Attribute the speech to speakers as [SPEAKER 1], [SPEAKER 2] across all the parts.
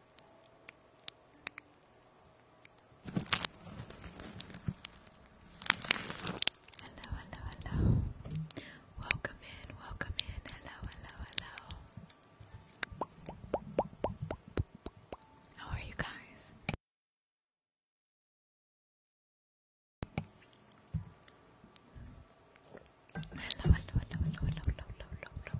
[SPEAKER 1] Hello, hello, hello. Welcome in, welcome in. Hello, hello, hello. How are you guys? Hello, hello, hello, hello, hello, hello, hello, hello.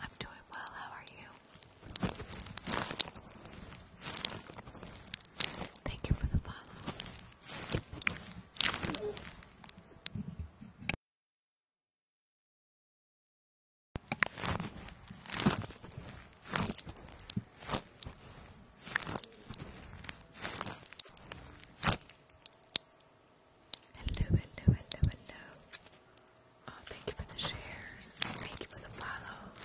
[SPEAKER 2] I'm doing well, how are you? Thank you for the follow. Hello, hello, hello, hello. Oh, thank you for the shares. Thank you for the follows.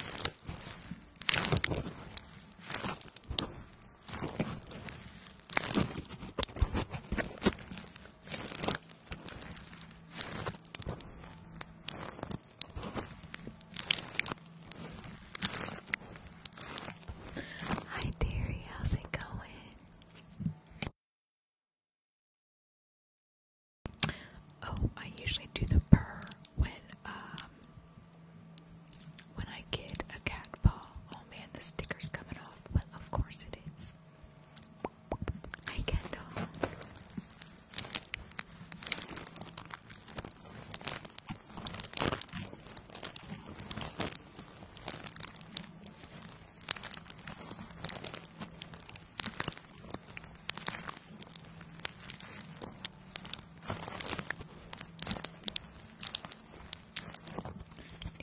[SPEAKER 2] Hi, dearie. How's it going? Oh, I usually do the purr when um when I get a cat paw. Oh man, the sticker's coming off. Well, of course it is. Hi, cat dog.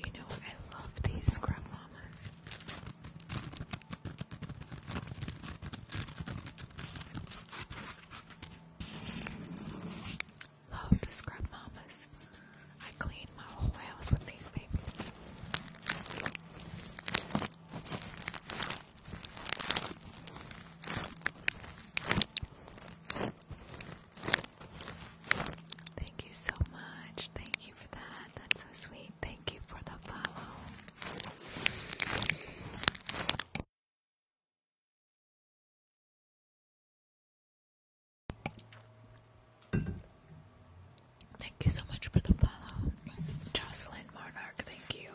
[SPEAKER 2] You know, I love these scrub mamas. Love the scrub mamas. I clean my whole house with these babies. Thank you so much. Thank you for that. That's so sweet. Thank you for the follow. Thank you so much for the follow. Jocelyn Monarch, thank you.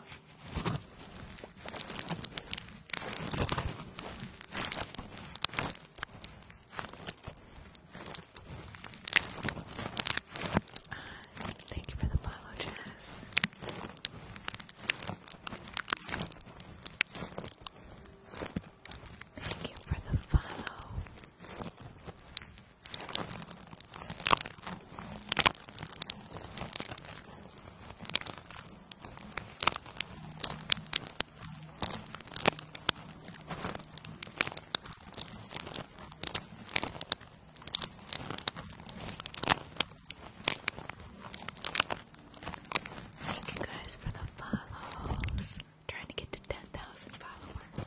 [SPEAKER 2] Thank you for the
[SPEAKER 1] follow, Jess. Thank you for the follow. Thank you guys for the follows. trying to get to 10,000 followers.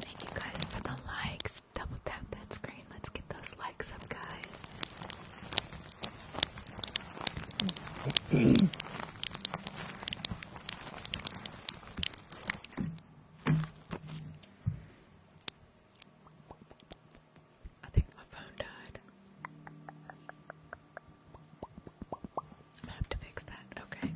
[SPEAKER 1] Thank you guys for the likes. Double tap that screen. Let's get those likes up, guys. I think my phone died. i have to fix that, okay.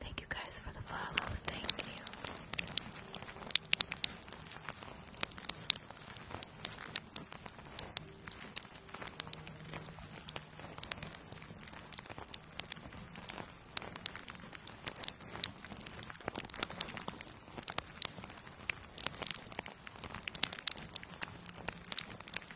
[SPEAKER 1] Thank you guys for the follows. Thank you.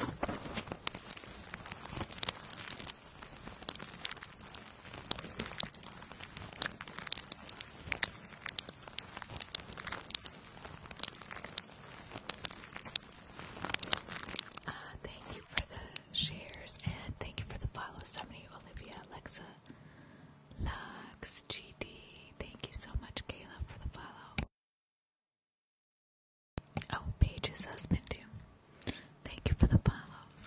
[SPEAKER 2] Uh, thank you for the shares and thank you for the follow. Somebody, Olivia, Alexa, Lux, GD. Thank you so much, Kayla, for the follow.
[SPEAKER 1] Oh, Paige's husband too. Thank you for the follows.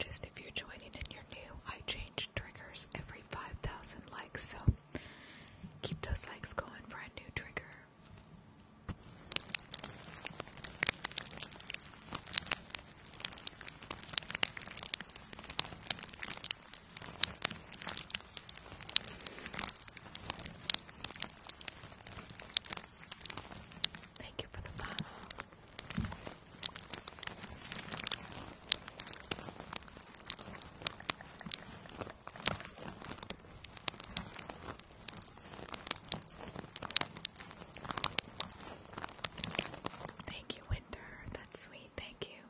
[SPEAKER 2] Just if you're joining and you're new, I change triggers every 5,000 likes, so keep those likes going for a new trigger. Thank you for the follow. Thank you, Winter. That's sweet. Thank you.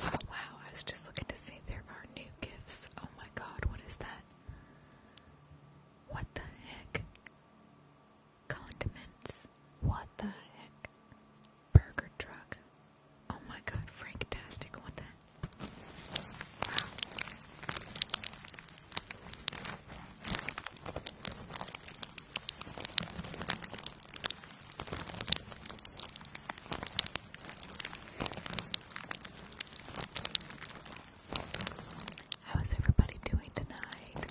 [SPEAKER 2] Oh wow, I was just looking to see there are new gifts. Oh my god, what is that? What the heck? Condiments. What the heck? Burger truck. Oh my god, Franktastic, what the how is everybody doing tonight?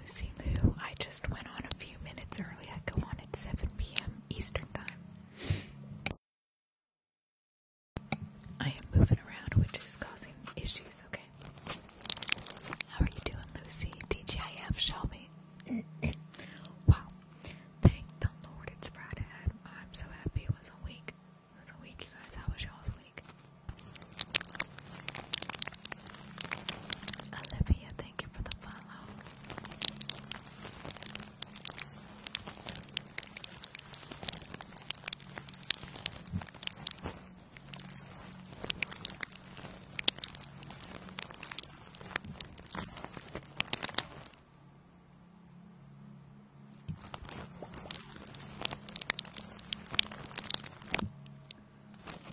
[SPEAKER 2] Lucy Lou, I just went on a few minutes early. I go on at 7 p.m. Eastern Time. I am moving around, which is causing issues, okay? How are you doing, Lucy? DJIF, Shelby. wow, Thank the Lord it's Friday. I'm so happy it was a week. It was a week, you guys. How was y'all's week? Olivia, thank you for the follow.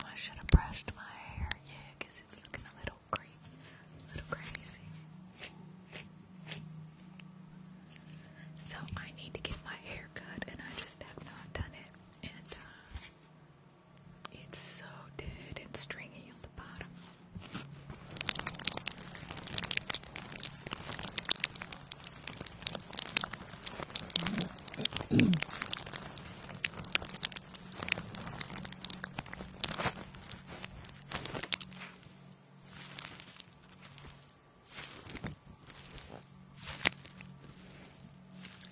[SPEAKER 2] I should have brushed my hair, yeah, because it's looking a little crazy, a little crazy. So I need to get my hair cut, and I just have not done it. And uh, it's so dead and stringy on the bottom.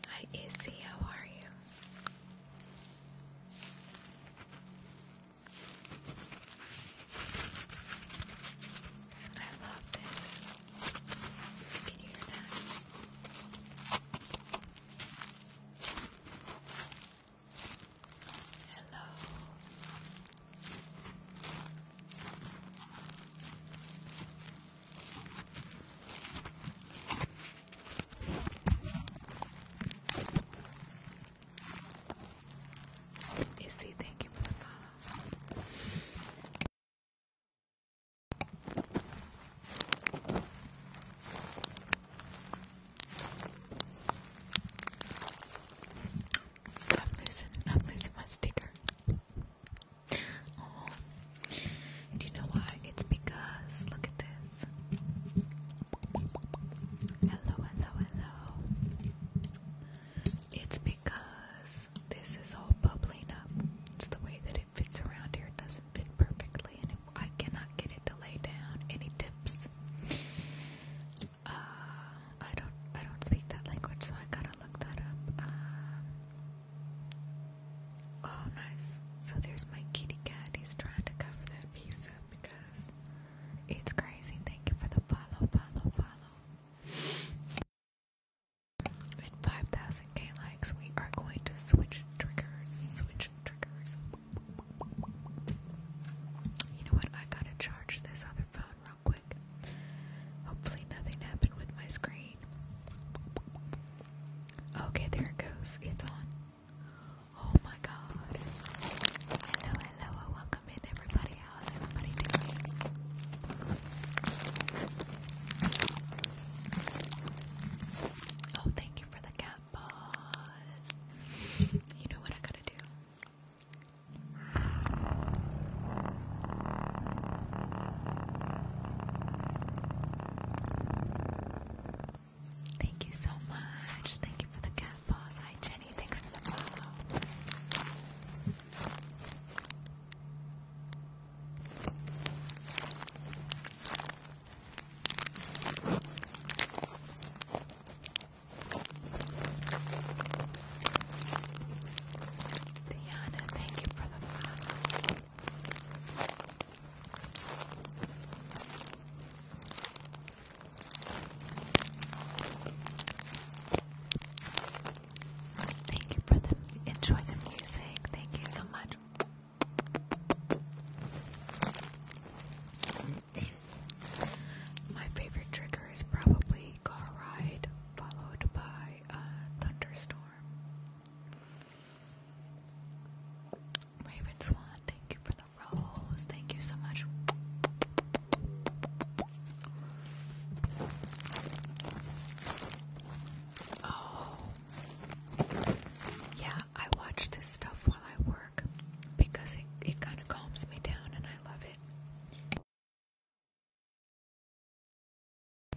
[SPEAKER 2] Hi, Izzy, how are you? I love this. Can you hear that? Hello. Izzy, eh, thank you for the I'm losing, I'm losing my sticker. Oh, you know why? it's because look at this. Hello, hello, hello. It's because this is all bubbling up. It's the way that it fits around here. It doesn't fit perfectly, and it, I cannot get it to lay down. Any tips? Uh, I don't. I don't speak that language, so I gotta look that up. Uh, oh, nice. So there's my kitty cat. He's trying to cover a pizza because it's crazy. Thank you for the follow, follow, follow. With 5,000k likes, we are going to switch triggers. Switch triggers. You know what? I gotta charge this other phone real quick. Hopefully, nothing happened with my screen. Okay, there it goes. It's on. Oh my god. Hello, hello, welcome in everybody. How's everybody doing? Oh, thank you for the cat paws. You know what I gotta do? Thank you so much. Thank you for the cat paws. Hi, Jenny. Thanks for the follow. Diana, thank you for the follow. Thank you for the music. Thank you so much. My favorite trigger is probably car ride followed by a thunderstorm. Raven Swan, thank you for rose. Thank you so much. Oh. Yeah, I watch this stuff while I work because it, it kind of calms me down and I love it.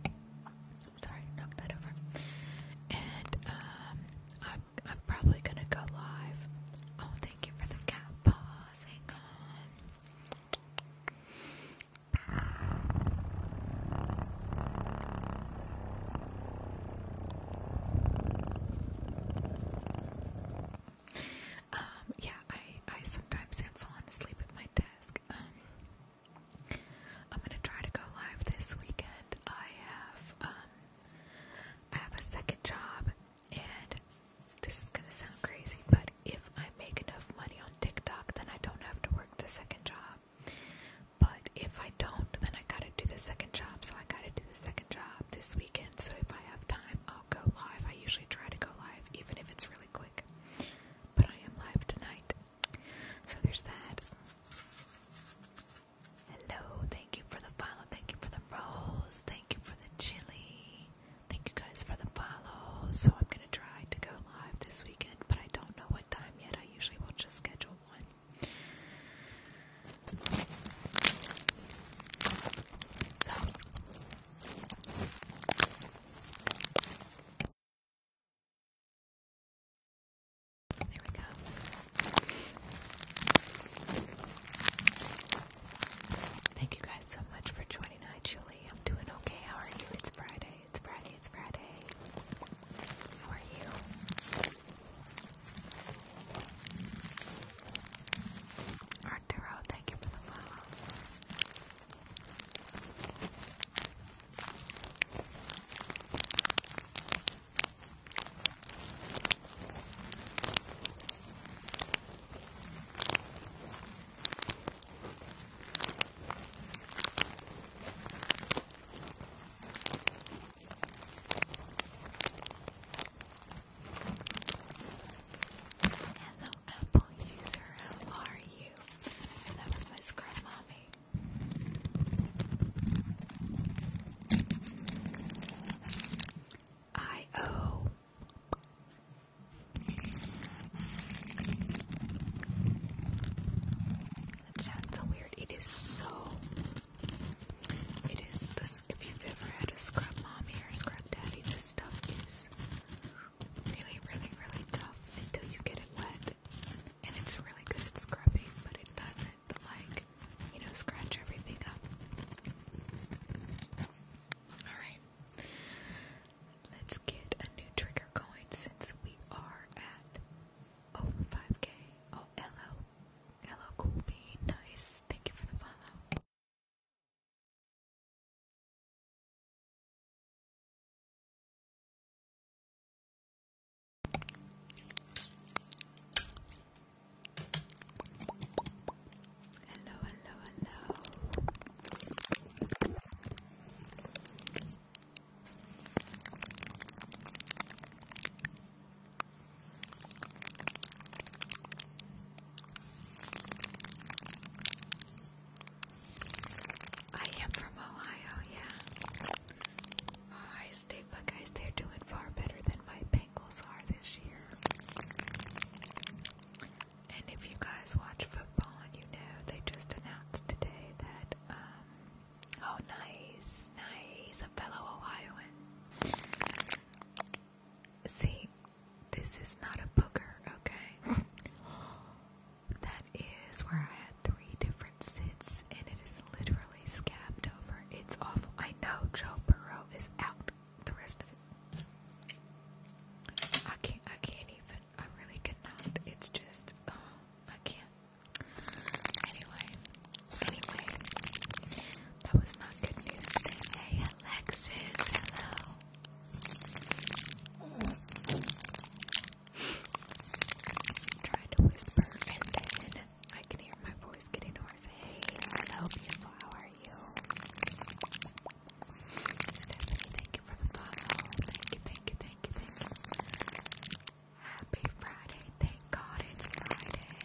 [SPEAKER 2] I'm sorry, knock that over. Um, I'm, probably gonna go live. Oh, thank you for the cat paws. Hang on. Um, yeah, I, I sometimes have fallen asleep at my desk. Um, I'm gonna try to go live this weekend. I have, um, I have a second job, and this is gonna sound crazy, but if I make enough money on TikTok, then I don't have to work the second job. But if I don't, then I gotta do the second job, so I gotta do the second job this weekend. So if I have time, I'll go live. I usually try to go live, even if it's really quick. But I am live tonight. So there's that. Hello, thank you for the follow, thank you for the rose, thank you for the chili. Thank you guys for the follow. So I'm gonna try to go live this weekend, but I don't know what time yet. I usually will just schedule one. So there we go. Thank you guys so much for joining. us, Julie. I'm doing okay. How are you? It's Friday. It's Friday. It's Friday. How are you? Arturo, thank you for the follow. Hello, Apple user. How are you? That was my scrub mommy. I O That sounds so weird. It is so it is this if you've ever had a scrub mommy or scrub daddy, this stuff is really, really, really tough until you get it wet. And it's really good at scrubbing, but it does not like, you know, scratch everything up. Alright. Let's get a new trigger going
[SPEAKER 1] since we are at over 5k. Oh, hello. Hello, Cool Bean. Nice. Thank you for the follow. Hello, hello, hello.
[SPEAKER 2] I am from Ohio, yeah. Ohio State Buckeyes, they're doing far better than my angles are this year. And if you guys watch football and you know, they just announced today that, um, oh, nice, nice, a fellow Ohioan. See, this is not a booger, okay? that is where I had three different sits and it is literally scabbed over. It's awful. I know Joe Burrow is out the rest of it. I can't I can't even I really cannot. It's just oh, I can't. Anyway. Anyway. That was not good news Hey Alexis, hello. Try to whisper and then I can hear my voice getting worse. Hey, hello, beautiful. How are you? thank you for the follow. Thank you, thank you, thank you, thank you. Happy Friday. Thank God it's Friday.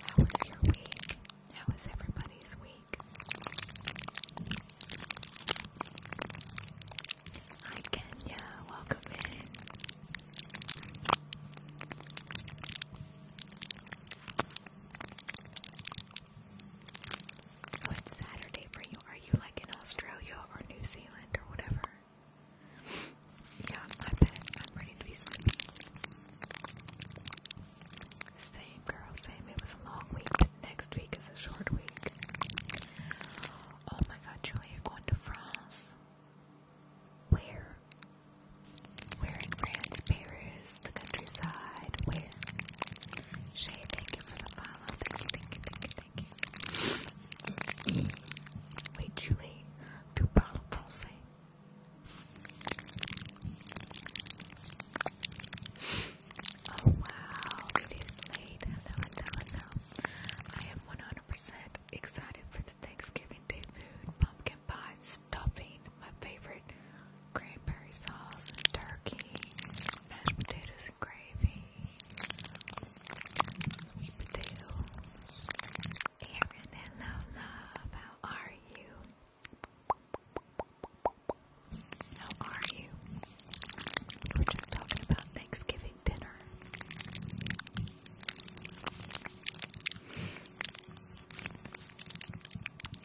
[SPEAKER 2] How was your week? How was everybody's week? Hi Kenya, welcome in. Oh, Saturday for you. Are you like in Australia or New Zealand or whatever? Yeah, I bet I'm ready to be sleepy. Same girl, same. It was a long week. Next week is a short week. Oh my god, Julie, you're going to France. Where? Where in France? Paris, the countryside. Where? Shay, thank you for the follow. Thank you, thank you, thank you, Wait, Julie, tu parles français? Oh wow, it is late. Hello, hello, hello. I am 100% excited for the Thanksgiving Day food, pumpkin pie, stuffing, my favorite cranberry sauce, and turkey, mashed potatoes and gravy, sweet potatoes. Erin, hello love, how are you? How are you? We're just talking about Thanksgiving dinner.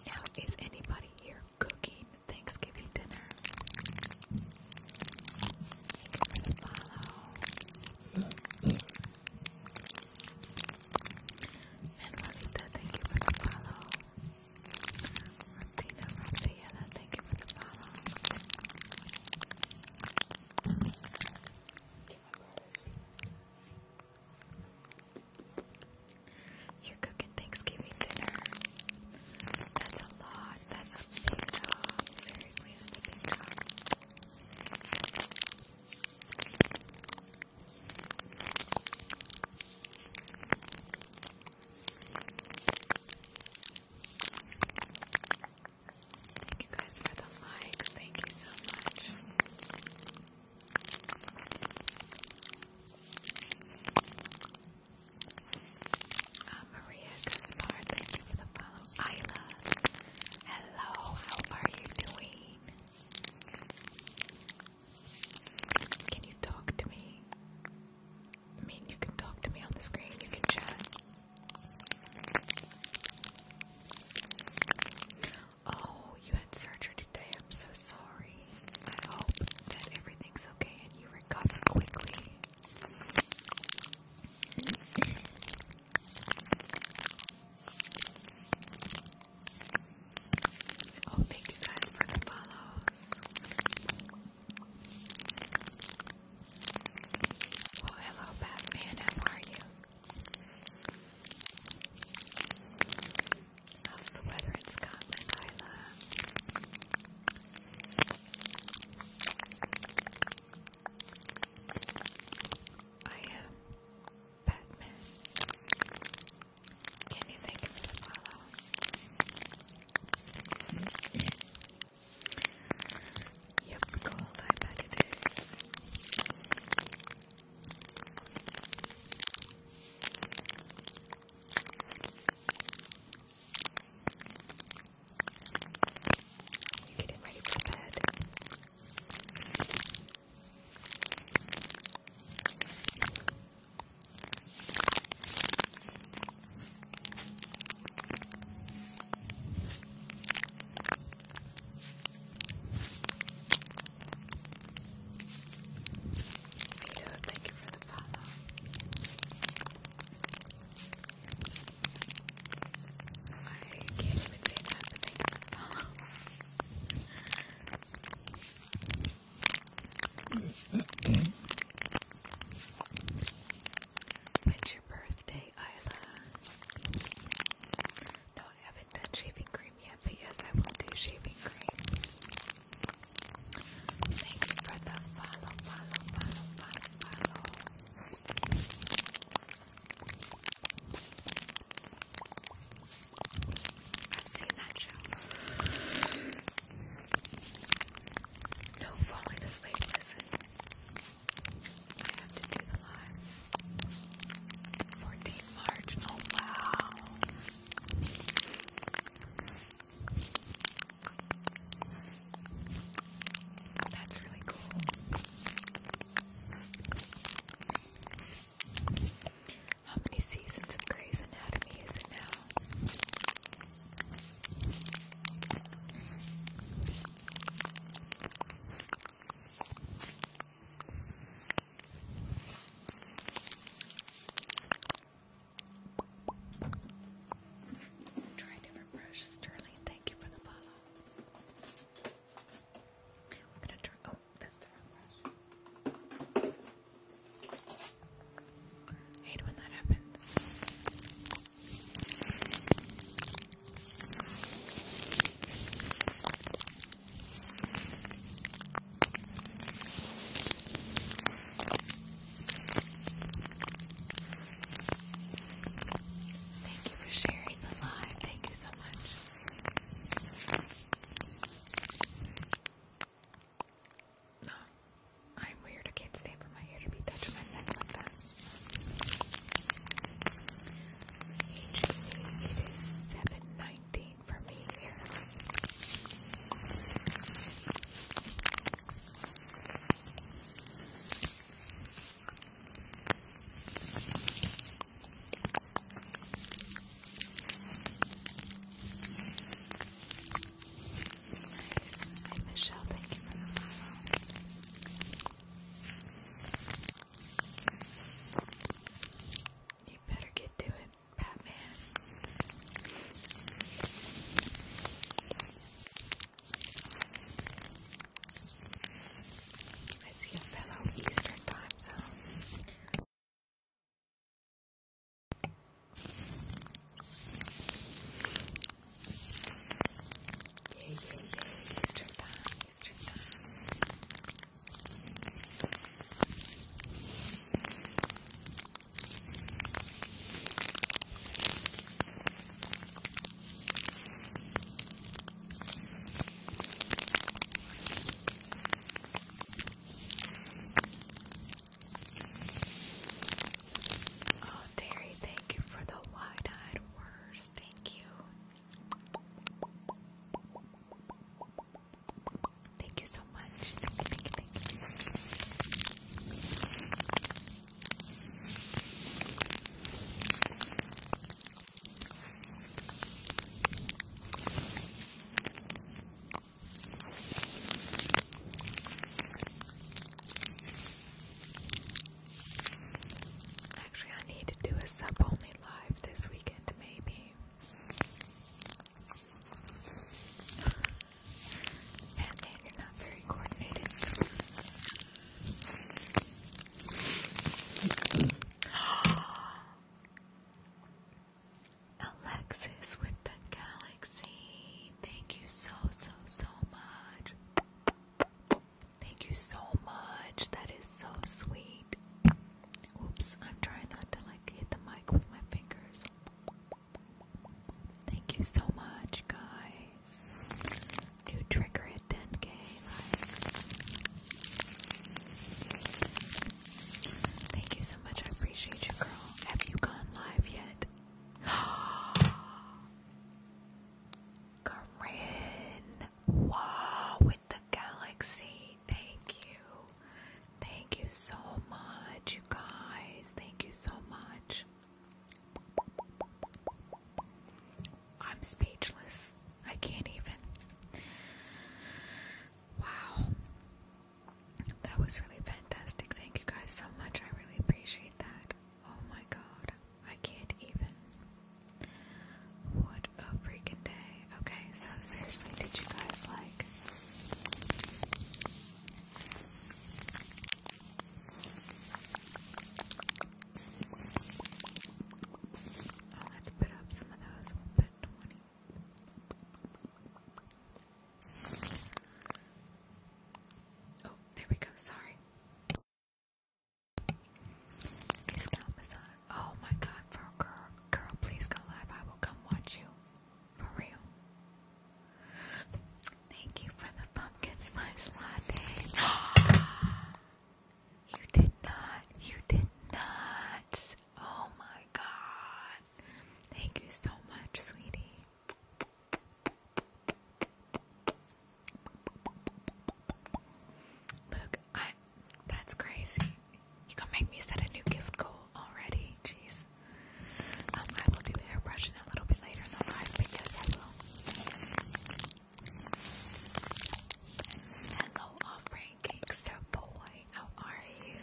[SPEAKER 2] Now, is anybody here cooking Thanksgiving dinner? Thank you for the follow. Manuelita, thank you for the follow you are cooking Thanksgiving dinner. That's a lot. That's a big job. Seriously, Thank you guys for the likes. Thank you so much. Uh, Maria Gaspar, thank you for the follow. Isla, hello, how are you doing? Can you talk to me? I mean, you can talk to me on the screen, you can chat. Oh, you had surgery today. I'm so sorry. I hope that everything's okay and you recover quickly. Oh, thank you guys for the follows. Well, hello, Batman. How are you? How's the weather in Scotland, Isla? I am Batman. Can you think of the Yep, cool. I bet it is. You're getting ready for bed. Vito, thank you for the follow. I can't even say that, but thank you for the follow. Mm -hmm. When's your birthday, Isla? No, I haven't done shaving cream yet, but yes, I will do shaving cream. Thanks for the follow, follow, follow, follow, follow. I've seen that show. No falling asleep, listen. I have to do the live. 14 March. Oh That's really cool. How many seasons of Grey's Anatomy is it now? Try different brush, Sterling. Thank you for the follow. We're gonna turn. Oh, that's the wrong brush. hate when that happens. Thank you for sharing the live. Thank you so much. No. I'm weird. I can't stand for my hair to be touched my neck like that. it is seven nineteen for me here thank you for the You better get to it, Batman. I see a fellow Eastern time zone. Yay, yay, yay. Easter Oh, Terry, thank you for the wide eyed worse. Thank you. Thank you so much. thank you. Actually, I need to do a sub only live this weekend, maybe. Batman, you're not very coordinated. Alexis with the galaxy. Thank you so, so, so much. Thank you so much. That is so sweet. Oops, I'm trying not to like hit the mic with my fingers. Thank you so much, guys. New trigger at 10k. Thank you so much. I appreciate you, girl. Have you gone live yet? Corinne, wow, with the galaxy. Thank you. Thank you so much, you guys. Thank you so much. I'm speechless. I can't even. Wow. That was really fantastic. Thank you guys so much. I really appreciate that. Oh my god, I can't even. What a freaking day. Okay, so seriously, did you guys like. Oh, let's put up some of those. We'll put 20. Oh, there we go. Sorry. Oh my God, for a girl, girl, please go live. I will come watch you, for real. Thank you for the pumpkin spice latte. you did not. You did not. Oh my God. Thank you so much, sweetie. Luke, that's crazy. You going make me set a new gift goal already. Jeez. Um, I will do airbrushing a little bit later in the live because Hello, off-brand gangster boy. How are you?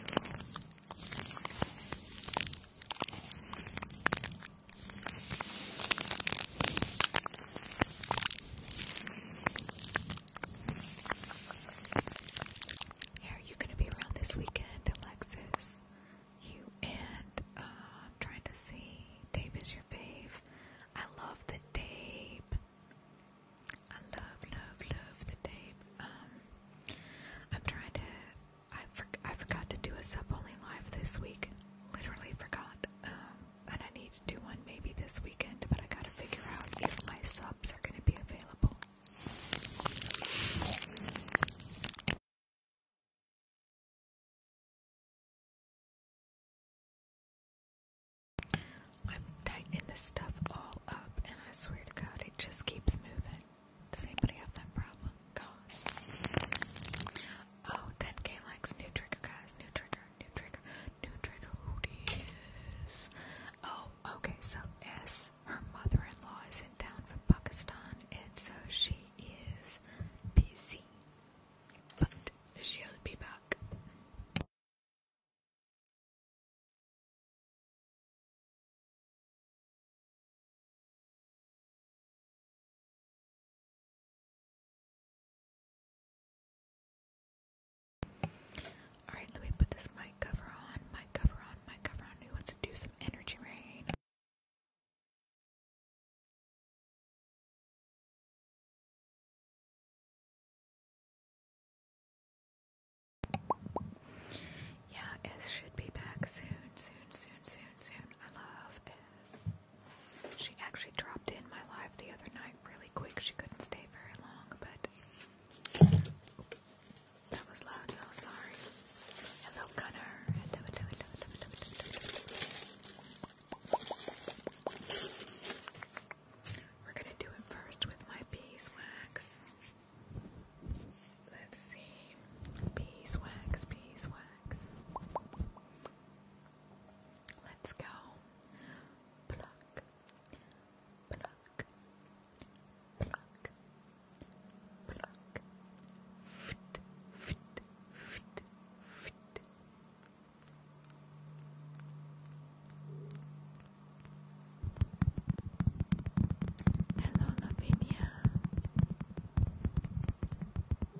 [SPEAKER 2] are you going to be around this weekend, Alexis? You and, uh, I'm trying to see, Dave is your fave. I love the Dave. I love, love, love the Dave. Um, I'm trying to, I forgot to do a sub-only live this week. Literally forgot. Um, and I need to do one maybe this weekend, but I gotta figure out if my subs are gonna be available.
[SPEAKER 1] I'm tightening this stuff all up, and I swear to God, it just keeps moving. Does anybody have that problem? God. Oh, 10k
[SPEAKER 2] likes, new trigger, guys, new trigger, new trigger, new trigger, who is? Oh, okay, so S, her mother-in-law is in town from Pakistan, and so
[SPEAKER 1] she is busy, but she'll be back. Alright, let me put this mic cover on. Mic cover on, mic cover on. Who wants to do some energy rain? Yeah, S should be back soon, soon, soon, soon, soon. I
[SPEAKER 2] love S. She actually dropped in my life the other night really quick. She couldn't stay very long, but that was loud, y'all. Oh, sorry. Hello, Gunner. We're gonna do it first with my beeswax. Let's see. Beeswax, beeswax. Let's go. Pluck, pluck, pluck, pluck. Fit, fit, fit, fit. Hello, Lavinia.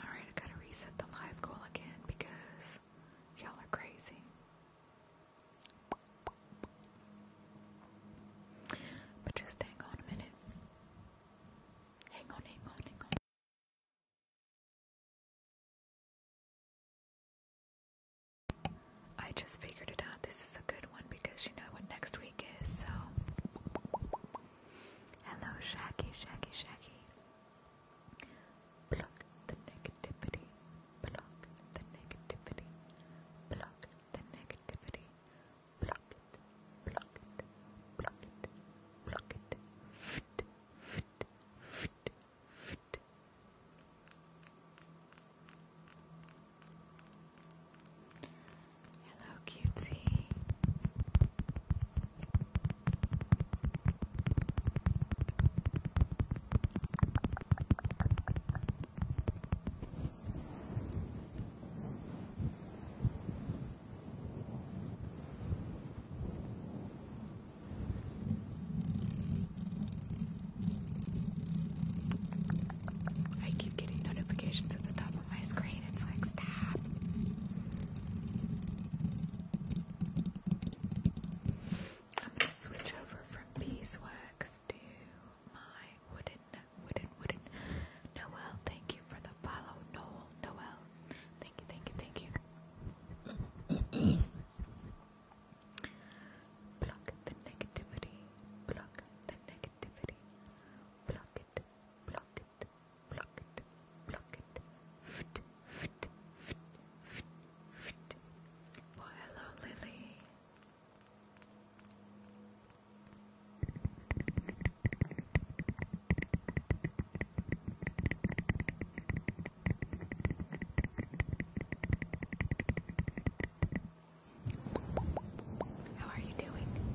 [SPEAKER 1] Alright, I gotta reset the live goal again because y'all are crazy. But just hang on a minute. Hang on, hang on, hang on. I just figured it out. This is a good one because you know
[SPEAKER 2] what next week is, so. Hello, Shaggy, Shaggy, Shaggy. Block the negativity. Block the negativity. Block the negativity. Block it. Block it. Block it. Block it. Fit. Fit. Fit. Fit. Hello, cutie. I keep getting notifications at the top of my screen. It's like, stop. I'm gonna switch over from beeswax to my wooden, wooden, wooden. Noel, thank you for the follow. Noel, Noel, thank you, thank you, thank you. block the negativity, block the negativity, block it, block it, it, it, pluck it, fit, fit, fit, fit, fit. hello, Lily. How are you doing?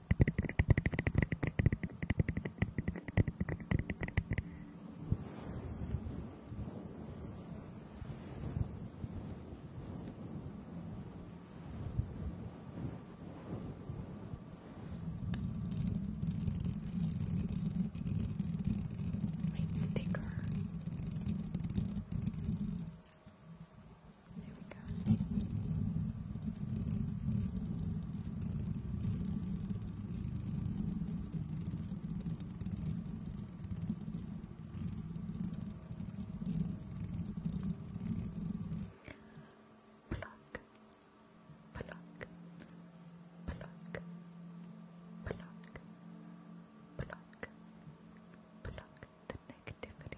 [SPEAKER 2] White sticker. There we go. Pluck, pluck, pluck, the negativity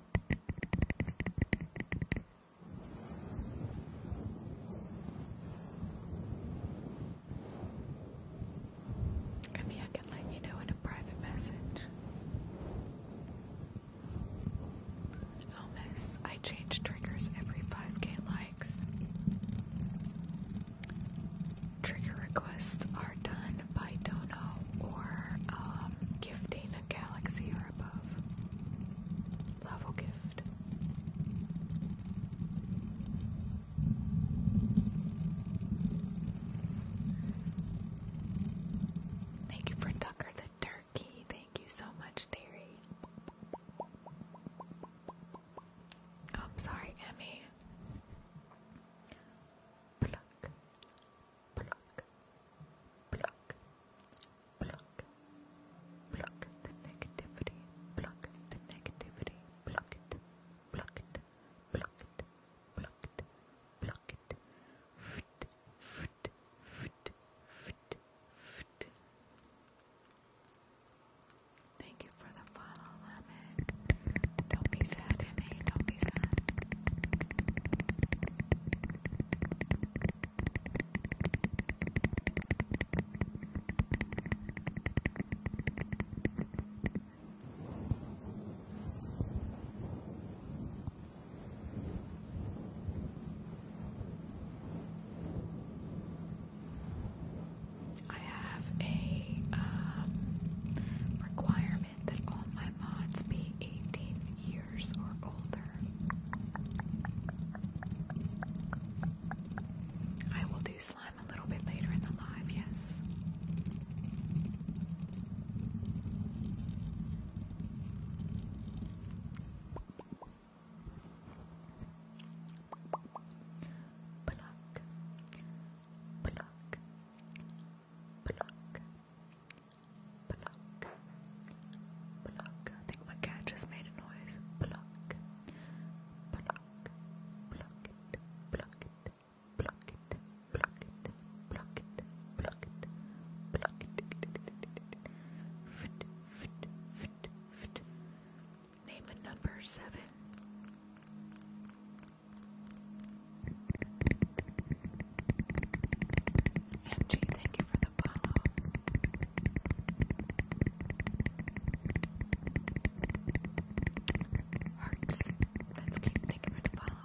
[SPEAKER 2] I I can let you know in a private message. Oh, I change triggers every 5k likes. Trigger requests are done by Dono or um, gifting a galaxy or or gift. Thank you for Tucker the Turkey. Thank you so much, Terry. Oh, I'm sorry, Emmy. Pluck, pluck, pluck, pluck, pluck the negativity, pluck the negativity, pluck it, pluck it, pluck it, pluck it, pluck it, fit, fit, fit, fit, fit. Thank you for the follow, Lemon. Don't be sad, Emmy. Don't be sad. I have a um, requirement that all my mods be 18 or older. I will do slime a little bit later in the live, yes. Pluck, pluck, pluck, Pluck. Pluck. I think my cat just made a noise. Pluck. Pluck. Pluck it. Pluck it. Pluck it. Pluck it. Pluck it. Pluck it. Pluck it. Fit. Fit. Fit. Fit. Name a number seven. MG, thank you for the follow. Hearts, that's cute. Thank you for the follow.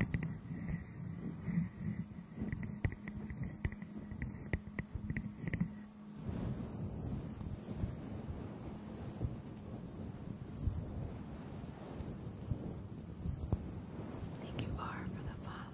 [SPEAKER 2] Thank you, R, for the follow.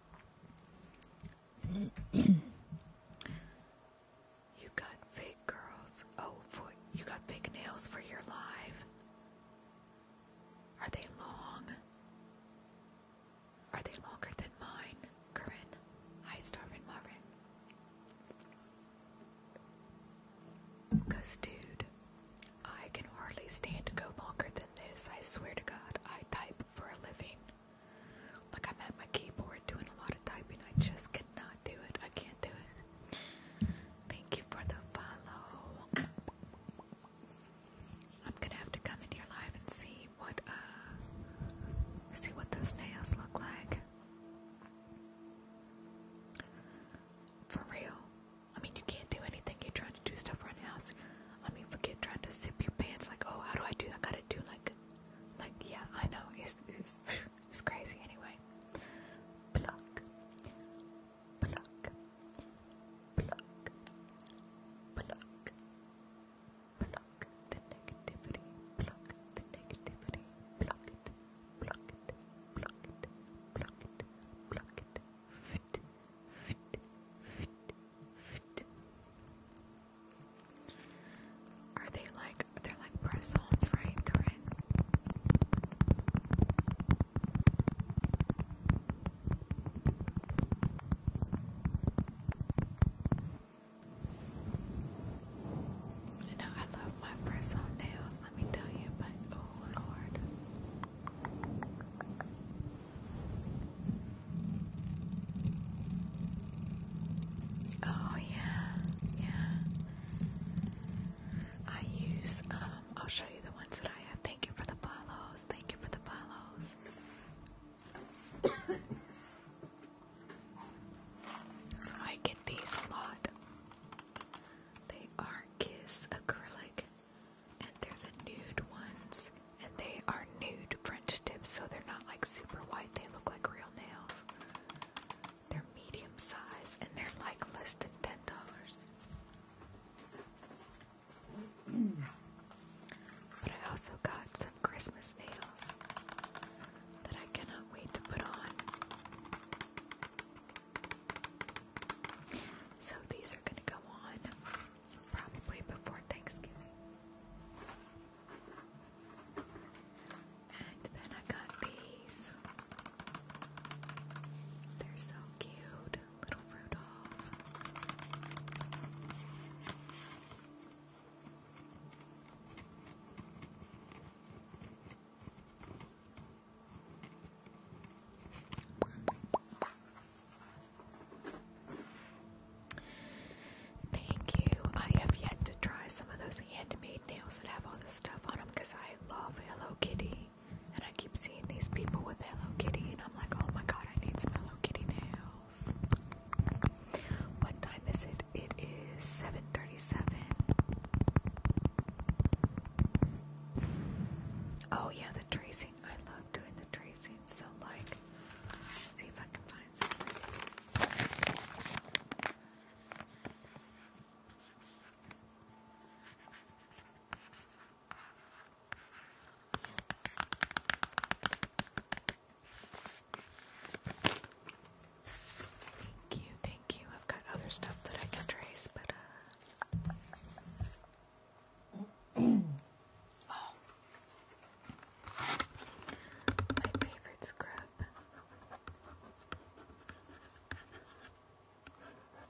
[SPEAKER 2] you got fake girls. Oh, you got fake nails for your live. Are they long? Are they longer than mine, Corinne? Hi, Starvin Marvin. Cause, dude, I can hardly stand to go longer than this. I swear to God, I type for a living. Like I'm at my keyboard doing a lot of typing. I just cannot do it. I can't do it. Thank you for the follow. I'm gonna have to come in your live and see what uh see what those nails look like. For real. I mean you can't do anything. You're trying to do stuff right now. I mean, forget trying to zip your pants. Like, oh, how do I do? I gotta do like, like, yeah, I know. It's it's, crazy anyway. Pluck, pluck, pluck, pluck, pluck the negativity. Pluck the negativity. Pluck it, pluck it, pluck it, pluck it, pluck it. Fit, fit, fit. Are they like they're like press-ons, right, Corinne? You know, I love my press-on nails, let me tell you, but oh lord. Oh yeah, yeah. I use um, I'll show you the ones that I have. Thank you for the follows. Thank you for the follows. so I get these a lot. They are Kiss Acrylic and they're the nude ones, and they are nude French tips, so they're not like super white. They look like real nails. They're medium size, and they're like less than ten dollars. But I also got some Christmas nails that I cannot wait to put on. So these are going to go on probably before Thanksgiving. And then I got these. They're so cute. Little Rudolph. Thank you. I have yet to try some of those handmade nails that have all this stuff on them because I love Hello Kitty. And I keep seeing these people with Hello Kitty, and I'm like, oh my god, I need some Hello Kitty nails. What time is it? It is 7:37. Oh yeah, the tracing. I love love doing the tracing, so like, see if I can find something. Thank you, thank you. I've got other stuff that I can trace, but uh, oh. My favorite scrub. Oh, I love this.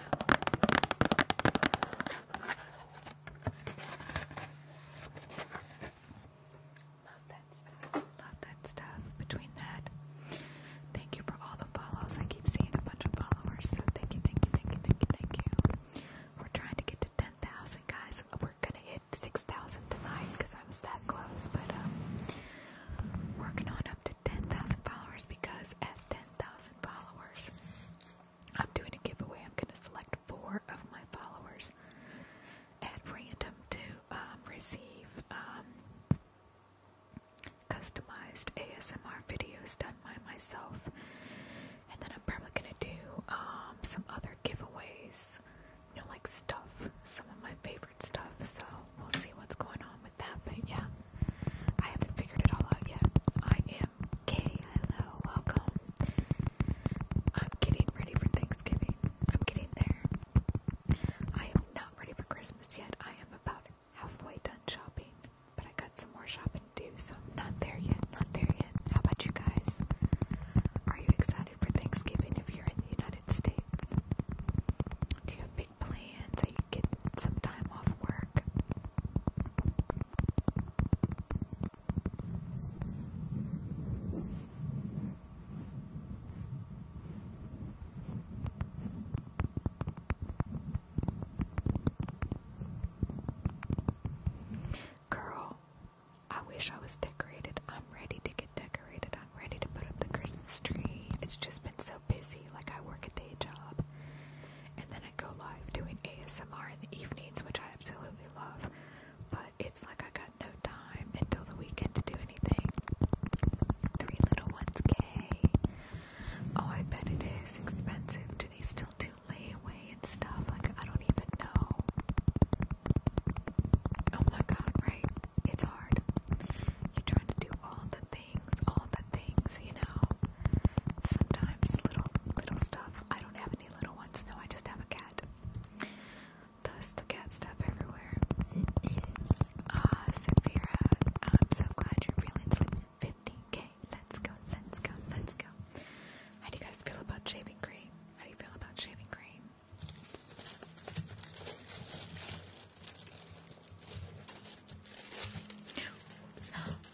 [SPEAKER 2] Love that stuff. Love that stuff. Between that, thank you for all the follows. I keep seeing a bunch of followers, so thank you, thank you, thank you, thank you, thank you. We're trying to get to 10,000, guys. We're gonna hit 6,000 tonight because I was that close, but um, working on up 10,000 followers because at 10,000 followers, I'm doing a giveaway. I'm going to select four of my followers at random to um, receive um, customized ASMR videos done by myself. And then I'm probably going to do um, some other giveaways, you know, like stuff, some of my favorite stuff. So we'll see what's going on with that, but yeah. I haven't figured it all out yet. I am Kay. Hello, welcome. I'm getting ready for Thanksgiving. I'm getting there. I am not ready for Christmas yet. I am about halfway done shopping, but I got some more shopping to do, so I'm not there yet. Not there yet. How about you guys? Are you excited for Thanksgiving if you're in the United States? big plan get some time off work. Girl, I wish I was decorated. I'm ready to get decorated. I'm ready to put up the Christmas tree. It's just been so busy. Like, I work a day job, and then I go live doing ASMR in the evenings, which I absolutely love. But it's like I got no time until the weekend to do anything. Three little ones, gay. Oh, I bet it is expensive. Do they still do layaway and stuff? Like, I don't even know. Oh my god, right? It's hard. You're trying to do all the things, all the things, you know? sometimes little little stuff. I don't have any little ones, no, I just have a cat. Thus the cat stuff everywhere. Ah, uh, I'm so glad you're feeling sleepy. 50k, let's go, let's go, let's go. How do you guys feel about shaving cream? How do you feel about shaving cream?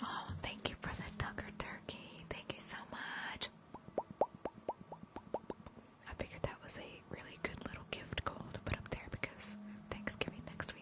[SPEAKER 2] Oh, thank you for the Tucker Turkey. Thank you so much. I
[SPEAKER 1] figured that was a really good little gift goal put up there because Thanksgiving next week.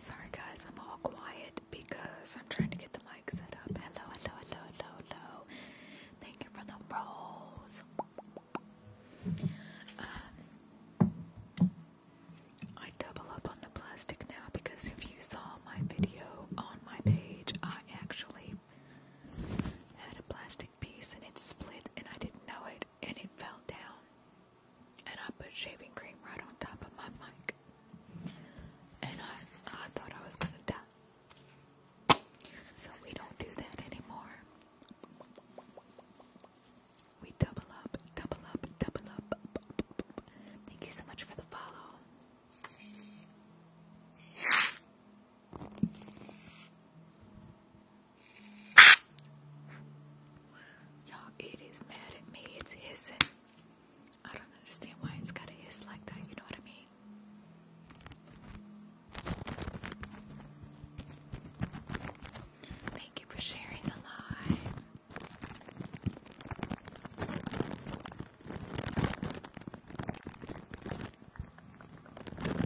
[SPEAKER 1] Sorry guys, I'm all quiet because I'm
[SPEAKER 2] trying to get the mic set up. Hello, hello, hello, hello, hello. Thank you for the rose. Um, uh, I double up on the plastic now because if you saw my video on my page, I actually had a plastic piece and it split and I didn't know it and it fell down. And I put shaving cream right on top of my mic. And I, I thought I was gonna die. So we don't do that anymore. We double up, double up, double up. Thank you so much for the follow. Y'all, it is mad at me. It's hissing. I don't understand why it's gotta hiss like that, you know what I mean? Thank you for sharing the live. Here we go.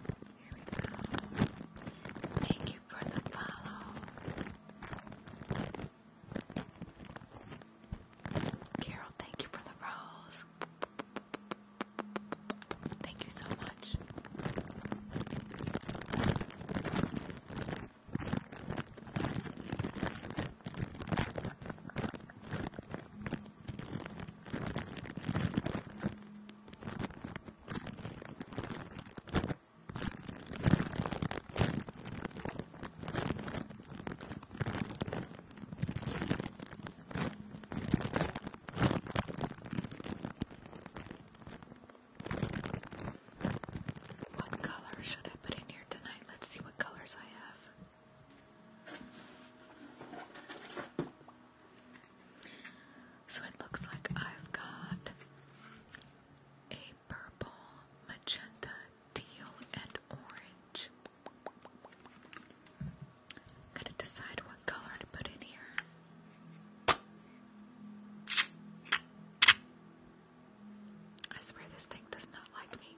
[SPEAKER 2] Thank you for the follow. Carol, thank you for the rose. Thank you so much. What color should I put in here tonight? Let's see what colors I have. So it looks like I've got a purple, magenta, teal, and orange. i to decide what color to put in here. I swear this thing does not like me.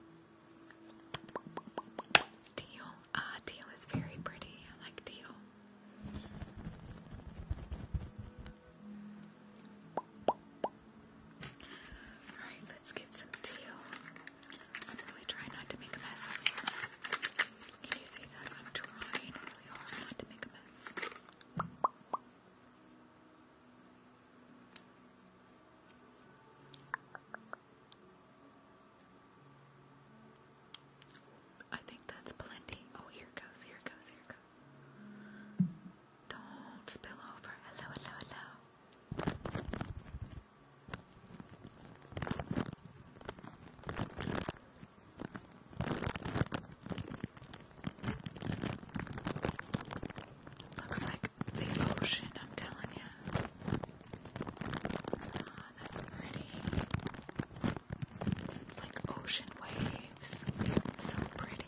[SPEAKER 2] Teal. Ah, teal is very pretty. I like teal. Alright, let's get some teal. I'm really trying not to make a mess over here. Can you see that? I'm trying really hard not to make a mess. I think that's plenty. Oh, here it goes, here it goes, here it goes. Don't spill over. Hello, hello, hello. Looks like the I'm telling you. Ah, that's pretty. It's like ocean waves. So pretty.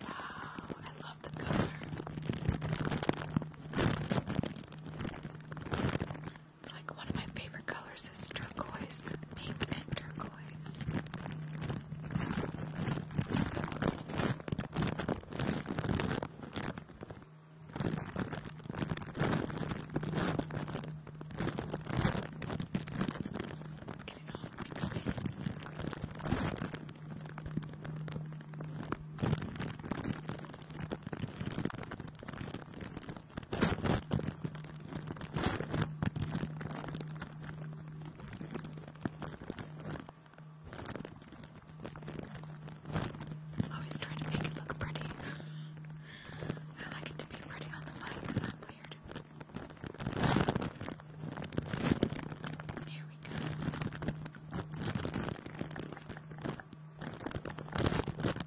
[SPEAKER 2] Wow, I love the color. It's like one of my favorite colors is turquoise, pink and turquoise. I'm always trying to make it look pretty. I like it to be pretty on the mic because I'm weird. Here we go.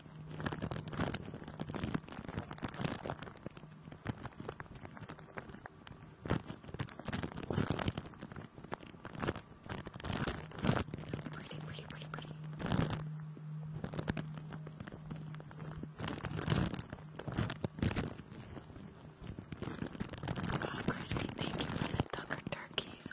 [SPEAKER 2] Pretty, pretty, pretty, pretty. Oh, Christy, thank you for the Tucker turkeys.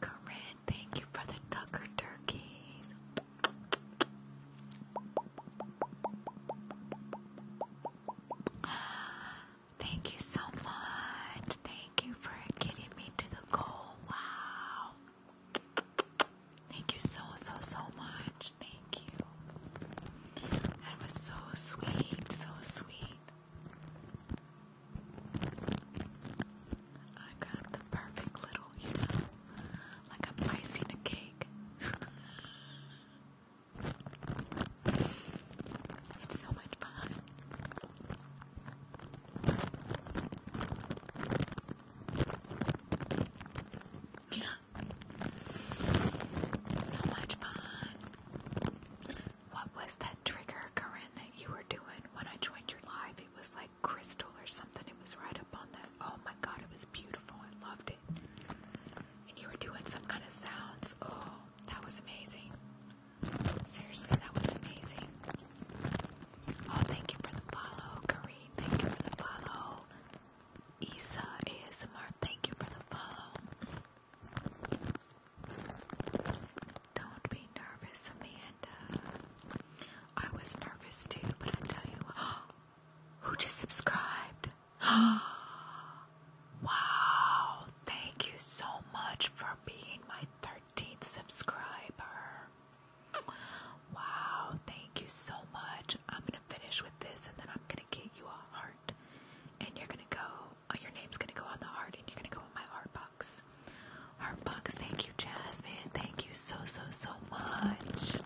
[SPEAKER 2] Corinne, thank you for the Tucker Turkeys. Thank you so much. Thank you for getting me to the goal. Wow. Thank you so, so, so much. Thank you. That was so sweet, so sweet. I got the perfect little, you know, like i icing a cake. it's so much fun. Yeah. So much fun. What was that trigger, Corinne, that you were doing when I joined your live? It was like crystal or something. It was right up on that. Oh my god, it was beautiful. I loved it. And you were doing some kind of sounds. Oh, that was amazing. Seriously, that was amazing. Oh, thank you for the follow, Kareem. Thank you for the follow. Isa ASMR, thank you for the follow. Don't be nervous, Amanda. I was nervous too, but I tell you, who just subscribed?
[SPEAKER 1] wow!
[SPEAKER 2] Thank you so much for being my third 13th subscriber. Wow, thank you so much. I'm gonna finish with this and then I'm gonna get you a heart. And you're gonna go, uh, your name's gonna go on the heart and you're gonna go on my heart box. Heart box, thank you, Jasmine. Thank you so, so, so much.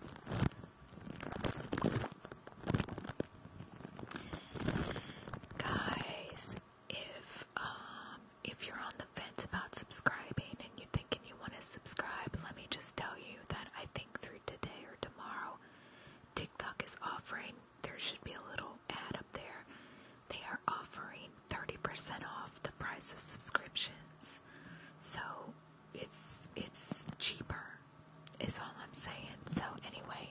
[SPEAKER 2] Guys, if um if you're on the about subscribing and you're thinking you want to subscribe, let me just tell you that I think through today or tomorrow, TikTok is offering, there should be a little ad up there. They are offering 30% off the price of subscriptions. So it's it's cheaper is all I'm saying. So anyway,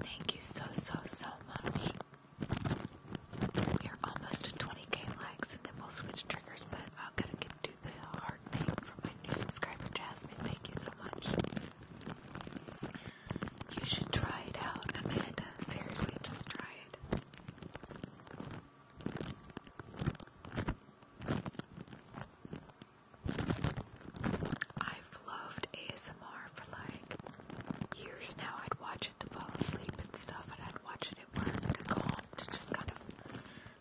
[SPEAKER 2] thank you so so so much. We are almost at 20k likes, and then we'll switch triggers, but I'll gotta get to the hard thing for my new subscriber, Jasmine. Thank you so much. You should try it out, Amanda. Seriously, just try it. I've loved ASMR for like years now. I'd watch to fall asleep and stuff, and I'd watch it at work to calm, to just kind of,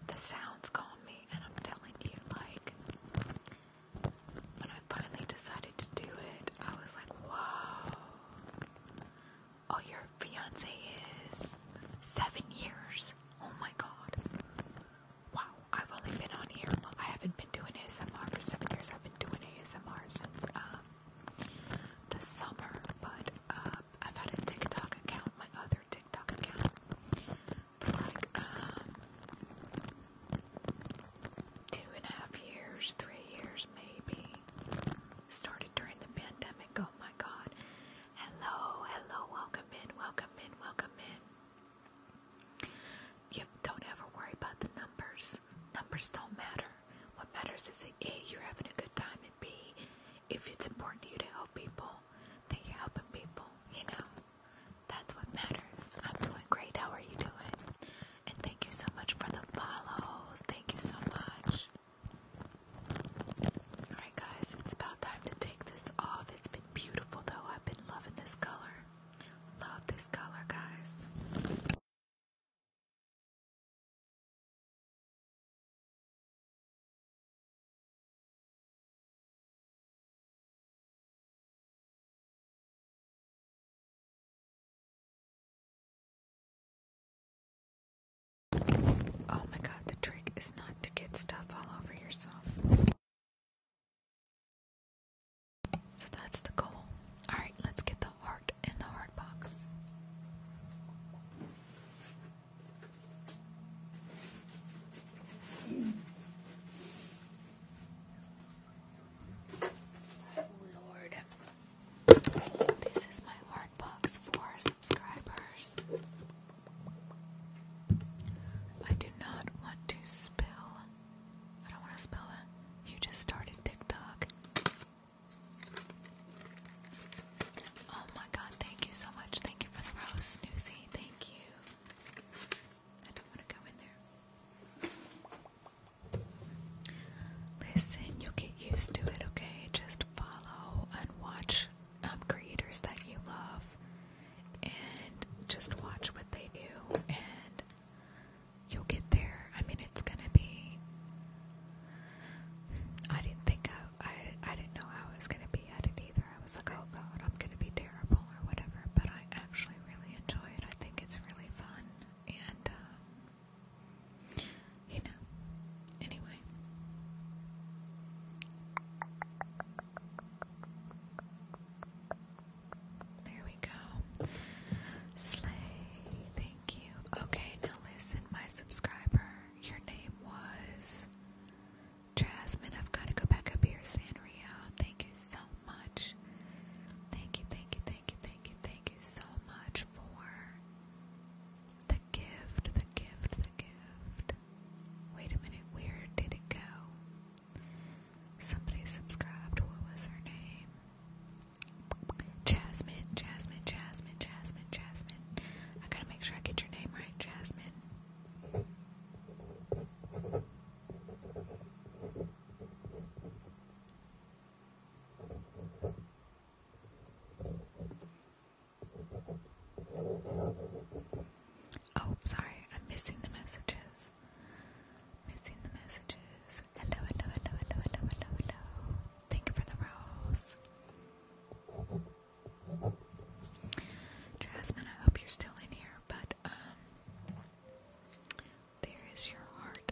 [SPEAKER 2] the sounds calm me, and I'm telling you, like, when I finally decided to do it, I was like, whoa, oh, your fiance is seven years, oh my god, wow, I've only been on here, I haven't been doing ASMR for seven years, I've been doing ASMR since, um, this summer, but uh, I've had a TikTok account, my other TikTok account, for like um, two and a half years, three years maybe. Started during the pandemic. Oh my god. Hello, hello, welcome in, welcome in, welcome in. Yep, don't ever worry about the numbers. Numbers don't matter. What matters is that A, you're having a good time, and be if it's important to you to help people, that you're helping people, you know. That's what matters. I'm doing great. How are you doing? And thank you so much for the follows. Thank you so much. Alright, guys, it's about time to take this off. It's
[SPEAKER 1] been beautiful, though. I've been loving this color. Love this color, guys. Oh my god, the trick is not to get stuff all over yourself. So that's the goal. Alright, let's get the heart in the heart box.
[SPEAKER 2] Lord, this is my heart for subscribers. I do not want to spill. I don't want to spill You just started TikTok. Oh my god, thank you so much. Thank you for the rose, Snoozy. Thank you. I don't want to go in there. Listen, you'll get used to it, okay? Just follow and watch um, creators that you love and just watch what they do and you'll get there. I mean, it's gonna be. I didn't think I, I, didn't know I was going to be at it either. I was like, oh god, I'm going to be terrible or whatever. But I actually really enjoy it. I think it's really fun. And, um, you know, anyway. There we go. Slay. Thank you. Okay, now listen, my subscriber. Your name was Jasmine. I've got to go back up here, Sanrio. Thank you so much. Thank you, thank you, thank you, thank you, thank you so much for the gift, the gift, the gift. Wait a minute, where did it go? Somebody subscribed. What was her name? Jasmine, Jasmine, Jasmine, Jasmine, Jasmine, I gotta make sure I get your name right, Jasmine. Oh, sorry, I'm missing the messages. Missing the messages. Hello, hello, hello, hello, hello, hello, hello. Thank you for the rose. Jasmine, I hope you're still in here, but um, there is your heart.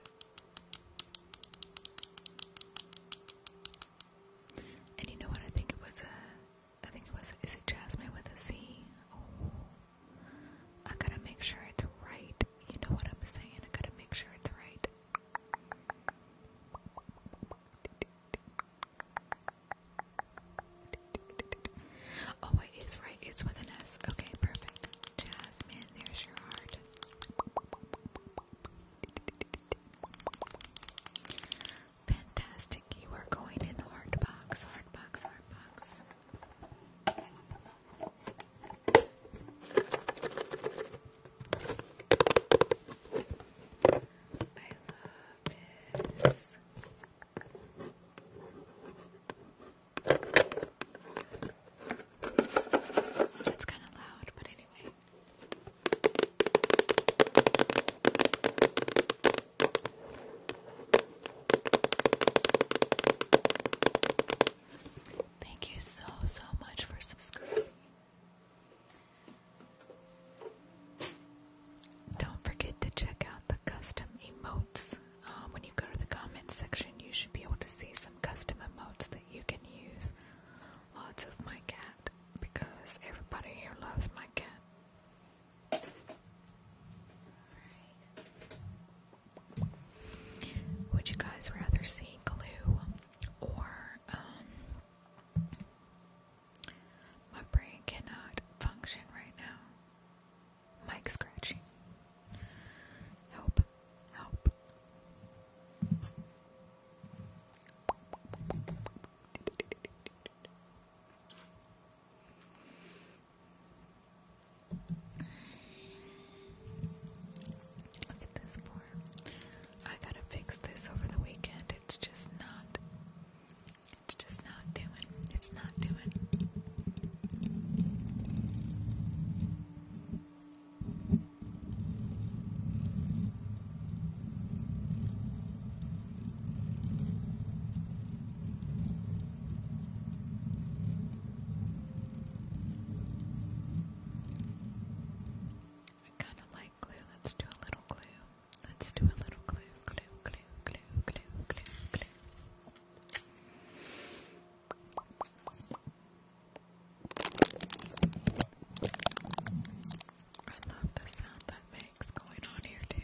[SPEAKER 2] And you know what? I think it was a I think it was is it Jasmine with a Z? Oh, I gotta make sure it's right. You know what I'm saying? I gotta make sure it's right. Oh, it is right. It's with an S. Okay, perfect. Jasmine, there's your heart. Fantastic. You are going in the heart box, heart box, heart box. I love this. It's kind of loud, but anyway. Thank you so, so much for subscribing. Don't forget to check out the custom emotes. Um, when you go to the comments section, you should be able to see some custom emotes that you can use. Lots of my cat, because everybody here loves my cat. Would you guys rather see glue or um, my brain cannot function right now. Mike scratching. Help, help. Look at this form. I gotta fix this over the weekend. It's just not. It's just not doing. It's not doing. I kind of like doing glue. Let's do a little glue. Let's do a little glue, glue, glue, glue, glue, glue, glue. I love the sound that makes going on here too.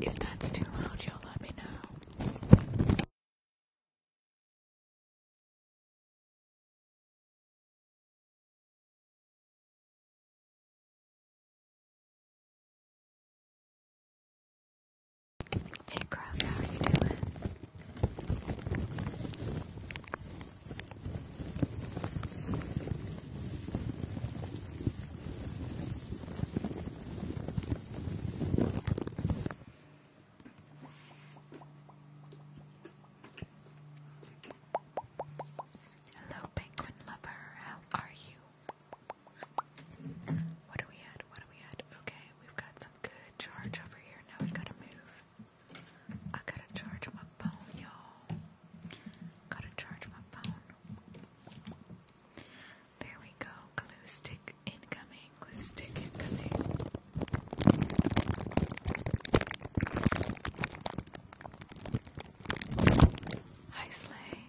[SPEAKER 1] if that's too loud, you'll let me know. Hey, Crab, how you doing? Hello, penguin lover. How are you? What do we at? What do we at? Okay, we've got some good charge over here. Now we gotta move. I gotta charge my phone, y'all. Gotta charge my phone. There we go. Glue stick incoming. Glue stick incoming. Hi, Slay.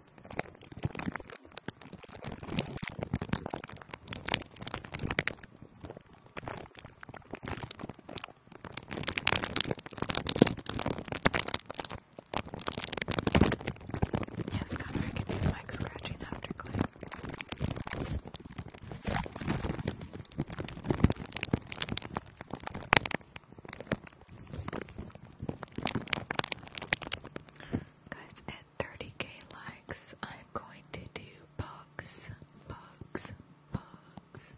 [SPEAKER 1] Yes, Connor, I can do the mic scratching after clip. Guys, 30k likes, I'm going to do bugs, bugs, bugs.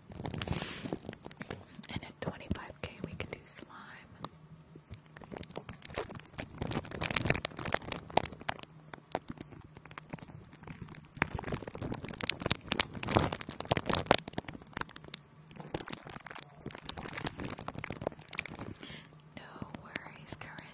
[SPEAKER 1] And at 25k, we can do slime.
[SPEAKER 2] No worries, Karen.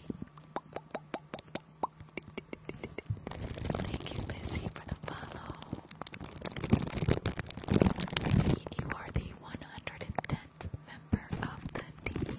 [SPEAKER 2] Thank you, Missy, for the follow. You are the 110th member of the team.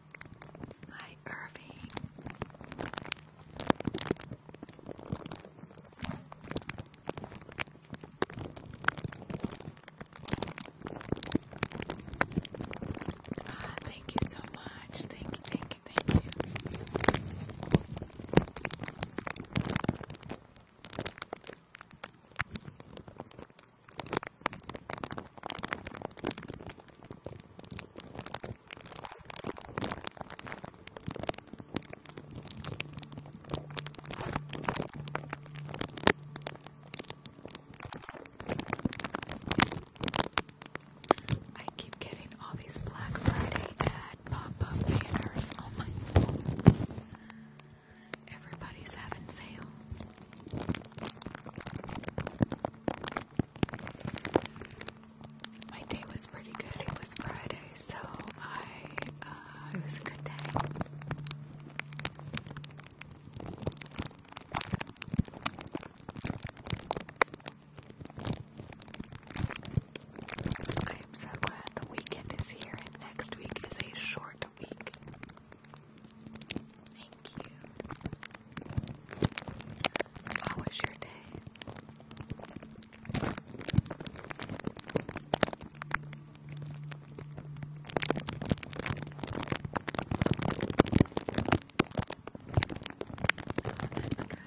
[SPEAKER 2] Hi, Irving. Ah, thank you so much. Thank you, thank you, thank you. I keep getting all these Black Friday ad pop banners on my phone. Everybody's having sales. My day was pretty good. It was Friday, so I uh, it was a good day. I am so glad the weekend is here, and next week is a short week. Thank you. How was your day? That's good,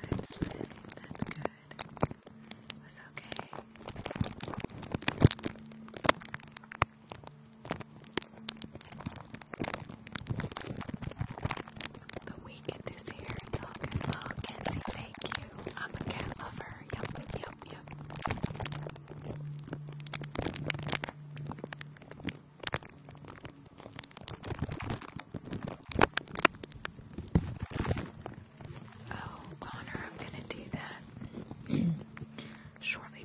[SPEAKER 2] That's good. was okay. But we get this here, it's all good. Oh, Kenzie, thank you. I'm a cat lover. Yup, yup, yup. Oh, Connor, I'm gonna do that shortly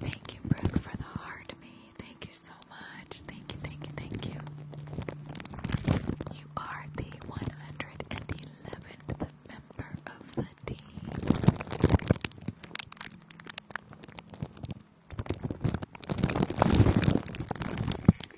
[SPEAKER 2] Thank you, Brooke, for the heart, me. Thank you so much. Thank you, thank you, thank you. You are the 111th member of the team.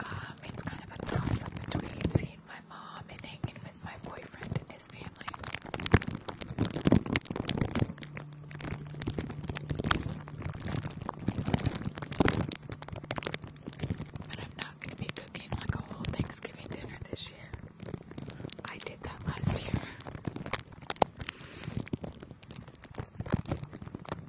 [SPEAKER 2] Um, it's kind of a toss up between seeing my mom and hanging with my boyfriend and his family. But I'm not going to be cooking like a whole Thanksgiving dinner this year. I did that last year. Um,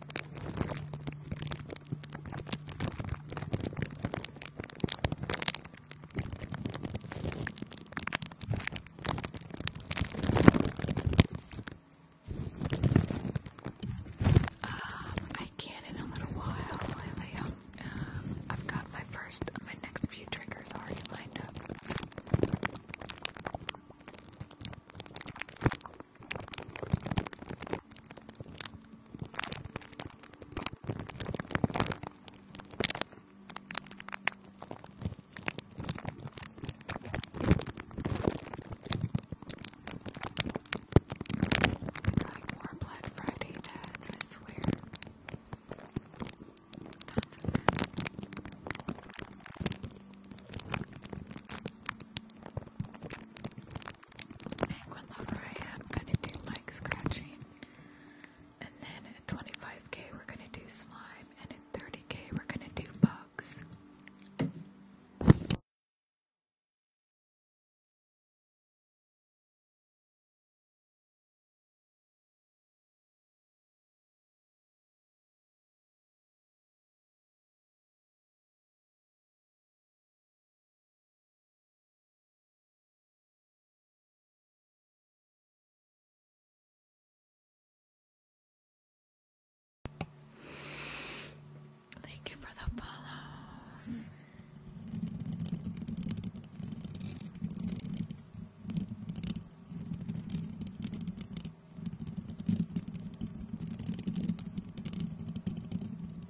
[SPEAKER 2] I can in a little while. I, have um, got my first, my next few triggers already lined up. Like more Black Friday ads, I swear. Tons of them. And whenever I am gonna do like scratching, and then at 25k we're gonna do slime, and at 30k we're gonna do bugs.
[SPEAKER 1] Thank you for the follows.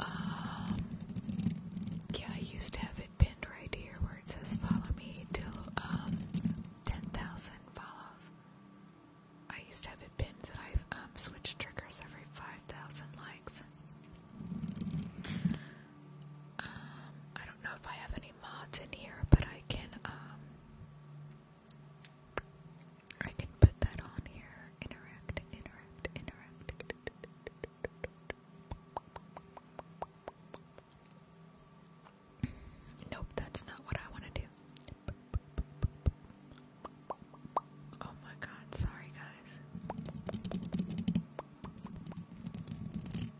[SPEAKER 2] Um, yeah, I used to have it pinned right here where it says follow me till um, 10,000 follows. I used to have it pinned that I've um, switched triggers every 5,000 likes. I don't know if I have any mods in here, but I can I can put that on here. Interact, interact, interact. Nope, that's not what I want to do. Oh my god, sorry guys.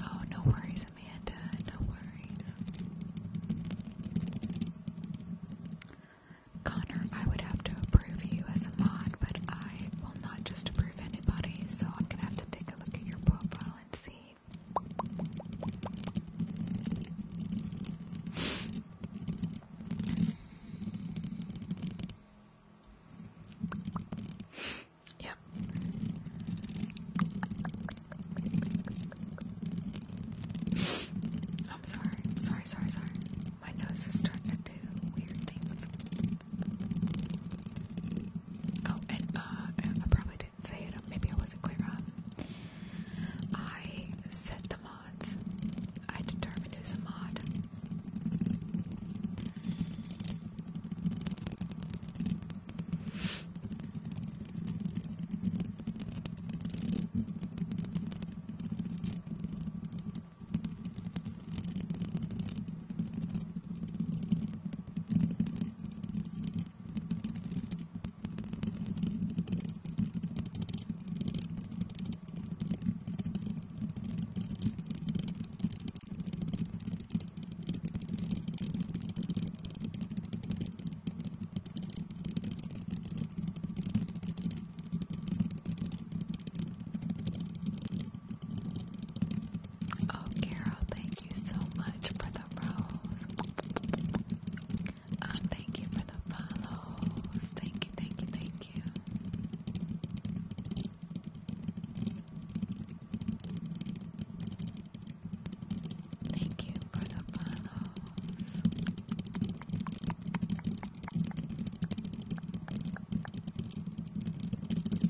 [SPEAKER 2] Oh, no worries, Amanda. No worries. Connor, I would have to approve you as a mod, but I will not just approve anybody, so I'm gonna have to take a look at your profile and see. Yep. I'm sorry. Sorry, sorry, sorry. My nose is starting to do weird things. Oh, and uh, I probably didn't say it. Maybe I wasn't clear. Um, I set them I determined who's a mod. Oh, Carol, thank you so much for the rose. Um, thank you for the follows. Thank you, thank you, thank you. Thank you for the follows.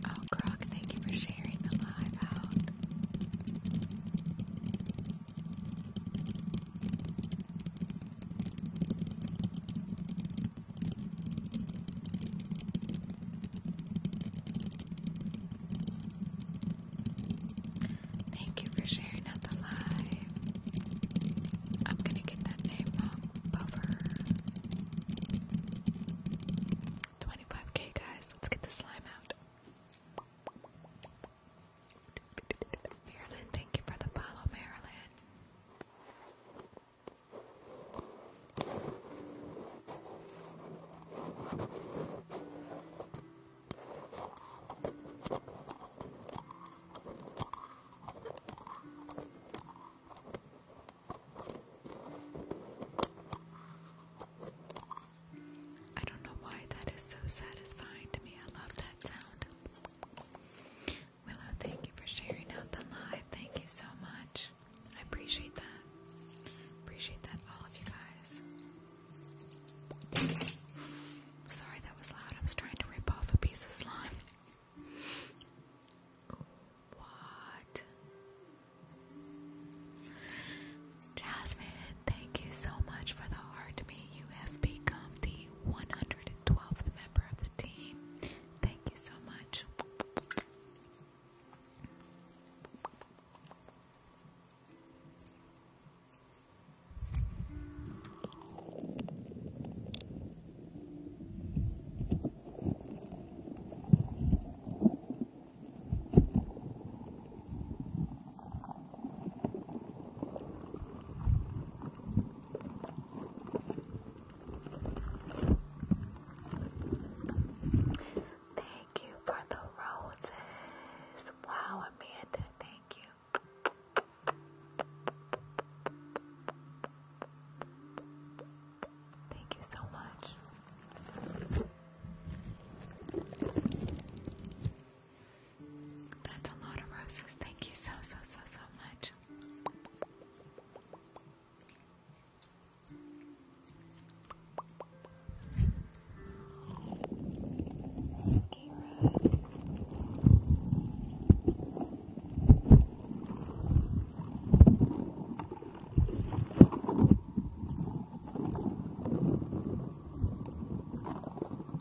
[SPEAKER 2] Oh, Croc, thank you for sharing the live out. Thank you for sharing out the live. I'm gonna get that name wrong. Over 25k, guys. Let's get the slime out. Marilyn, thank you for the follow, Marilyn. I don't know why that is so satisfying to me. I love that sound. Willow, thank you for sharing out the live. Thank you so much. I appreciate that. Appreciate that, all of you guys. Sorry that was loud. I was trying to rip off a piece of slime. What? Jasmine, thank you so much for the heart. Me, you have become the 112th member of the team. Thank you so much. Thank you for the roses. Wow, Amanda, thank you. Thank you so much. That's a lot of roses. Thank you so, so, so, so much. Oh,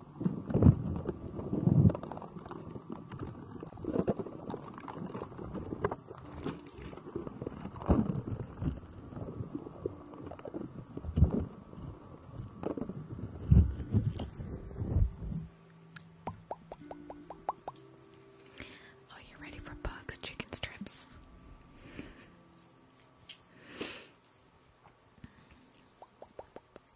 [SPEAKER 2] you're ready for bugs, chicken strips.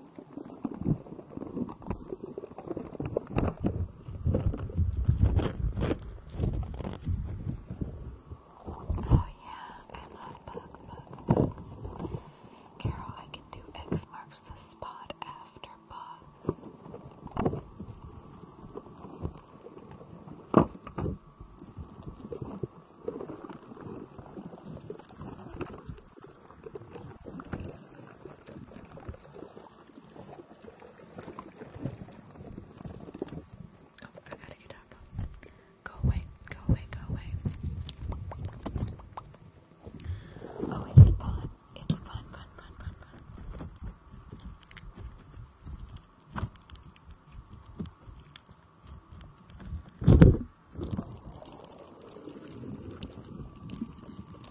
[SPEAKER 2] Oh yeah, I love bugs, bugs, bugs. Carol, I can do X marks the spot after bugs. Oh, I gotta get up. Go away, go away, go away. Oh, it's fun. It's fun, fun, fun, fun, fun.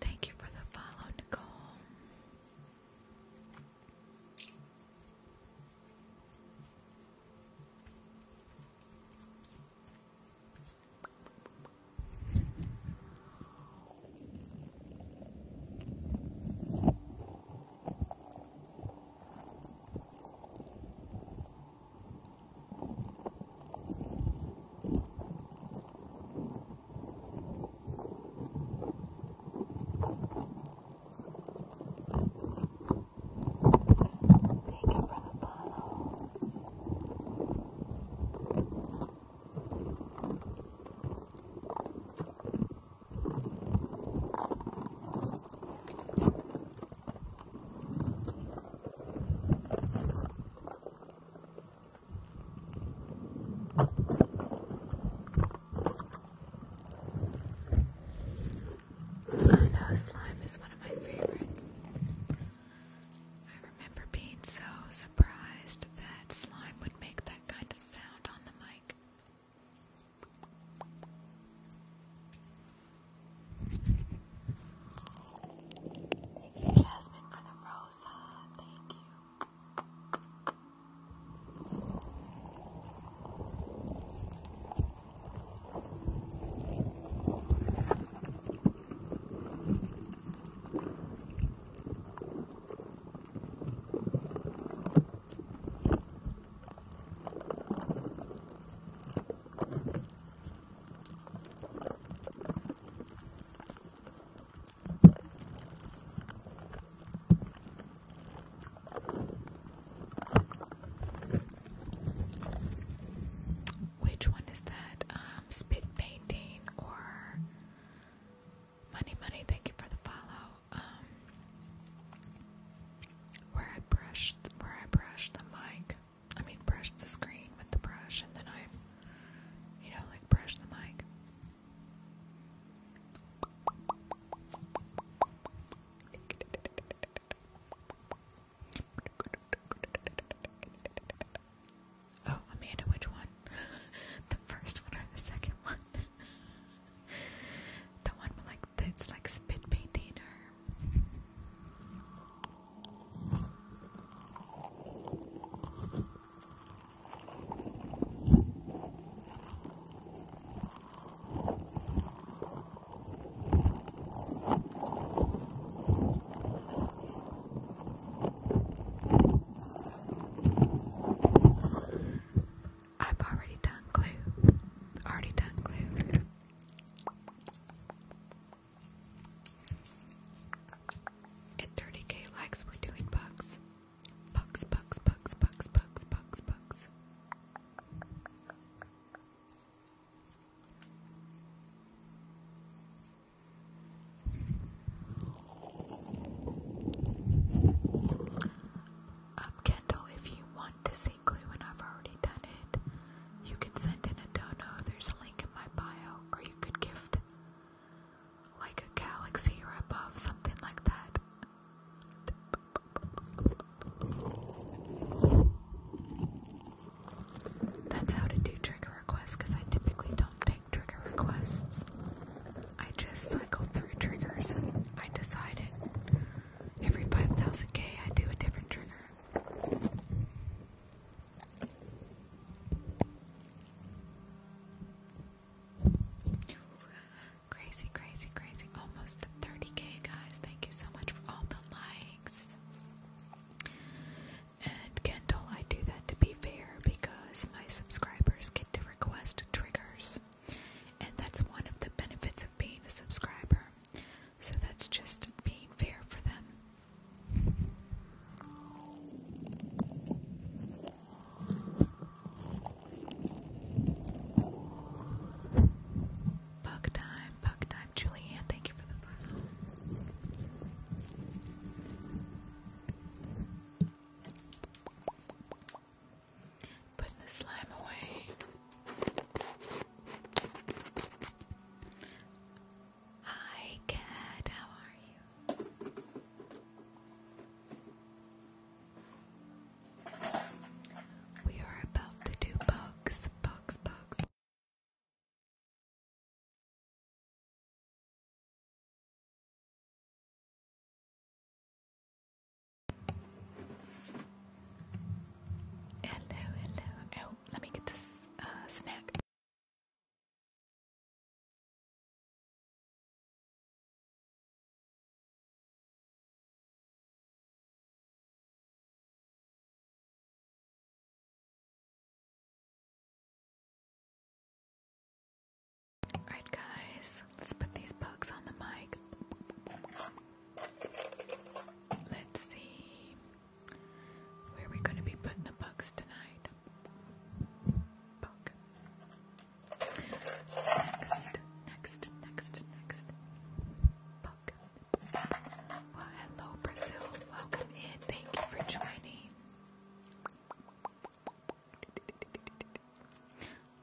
[SPEAKER 2] Thank you for the follow, Nicole. Thank you for the bottles. I oh, know slime is one of my favorite. I remember being so surprised that slime would make that kind of sound on the mic. Thank you, Jasmine, for the rosa. Thank you. Which one is that? Um, spit painting or money, money? Thank you for the follow. Um, where I brush, where I brushed the mic. I mean, brush the screen with the brush, and then I, you know, like brush the mic. Oh, Amanda, which one? the first one or the second one? the one like that's like spit painting or I've already done glue. Already done glue. At 30k likes, we're doing bugs. Bugs, bugs, bugs, bugs, bugs, bugs, bugs. Kendall, if you want to see weekly when I've already done it. You can send in a dono, there's a link in my bio, or you could gift like a galaxy or above, something like that. That's how to do trigger requests because I typically don't take trigger requests. I just cycle through triggers and I decide it. Every 5,000K, I do a different trigger. Crazy, crazy, crazy. Almost 30k, guys. Thank you so much for all the likes. And Kendall, I do that to be fair because my subscribers get to request triggers. And that's one of the benefits of being a subscriber. So that's just being fair for them. Bug time, bug time. Julianne, thank you for the bug. Putting the slime away. Hi, Cat. How are you? We are about to do bugs, bugs, bugs.
[SPEAKER 1] Hello, hello. Oh, let me get this uh, snack. Alright, guys, let's put these bugs on the mic.
[SPEAKER 2] Let's see where we're going to be putting the bugs tonight. Bug. Next, next, next, next. Bug. hello, Brazil. Welcome in. Thank you for joining.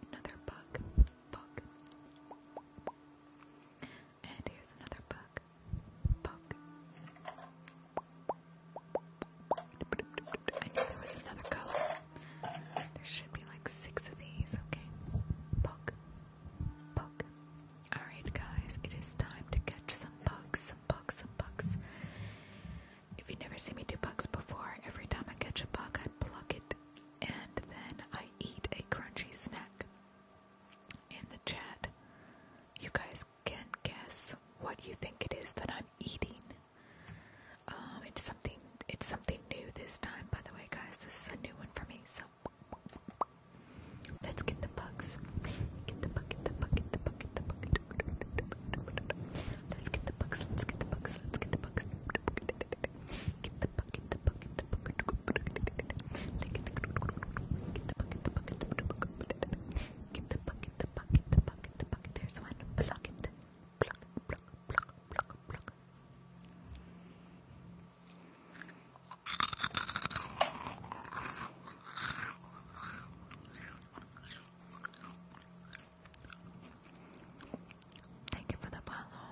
[SPEAKER 2] Another bug. Bug. And here's another book. Book. I knew there was another color. There should be like six of these, okay? Book. Book. Alright, guys, it is time to catch some bugs, some bugs, some bugs. If you've never seen me do bugs before, every time I catch a bug, I pluck it and then I eat a crunchy snack in the chat. You guys can guess what you think it is that I'm eating. Um, it's something. It's something new this time, by the way, guys. This is a new one for me. So let's get the bugs. Get the bug. Get the bug. Get the bug. Get the bug. Let's get the bugs. Let's get the bugs. Let's get the bugs. Get there's one, pluck it, pluck, pluck, pluck, pluck, pluck. Thank you for the follow.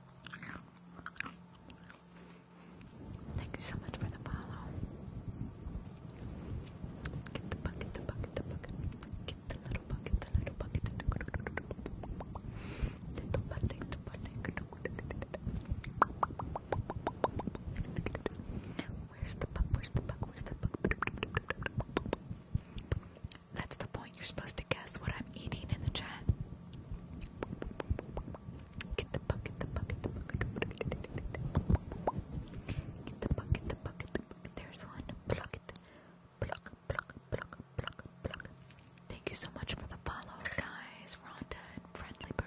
[SPEAKER 2] Thank you so much for the follow. Get the bucket, the bucket, the bucket. Get the little bucket, the little bucket. Little bucket, the bucket. Where's the puck? Where's the puck? Where's the puck? That's the point you're supposed to guess what I'm eating in the chat. Get the book, the book, the book, There's one. Pluck it. Pluck, pluck, pluck, Thank you so much for the follows, guys. Rhonda Friendly Bird.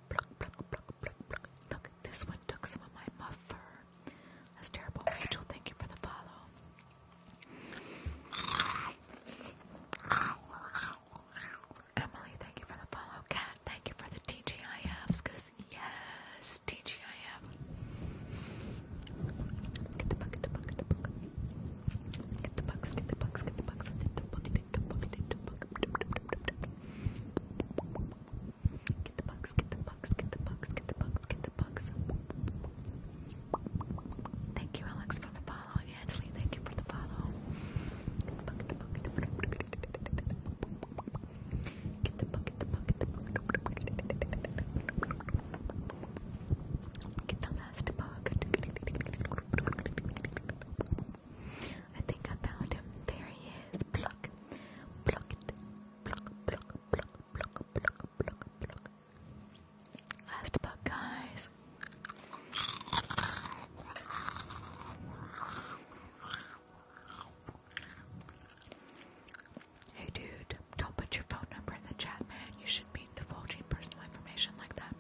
[SPEAKER 2] Look, this one took some of my muff That's terrible. Rachel, thank you for the follow. Emily, thank you for the follow. Kat, thank you for the TGIFs. Cause yes, TGIF. Get the bug, get the bug, get the bug. Get the bugs, get the bugs, get the bugs, get the bugs, get the bugs, Get the bugs, get the bugs, get the bugs, get the bugs, get the bugs. Thank you, Alex, for the follow. Ansley, thank you for the follow. Get the bug, get the bug, get the bug. Get the bug, get the bug, get the bug. Get the last bug. I think I found him. There he is. Pluck. Pluck it. Pluck, pluck, pluck, pluck, pluck, pluck, Last book, guys. Hey, dude, don't put your phone number in the chat, man. You should be divulging personal information like that.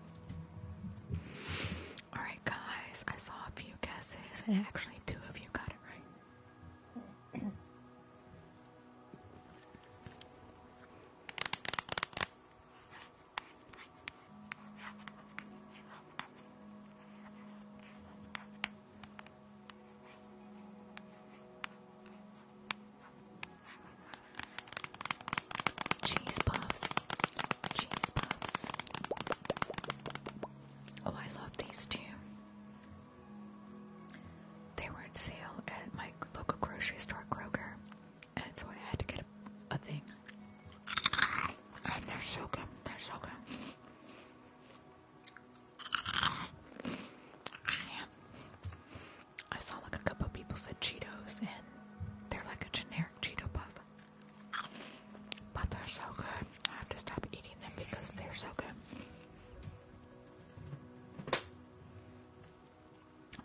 [SPEAKER 2] Alright guys. I saw a few guesses, and actually, two of you got it right. Cheese puffs, cheese puffs, Oh, I love these too. They were on sale at my local grocery store, Kroger, and so I had to get a, thing. And they're so good. They're so good. I saw like a couple people said Cheetos, and they're like a generic Cheeto puff. But they're so good. I have to stop eating them because they're so good.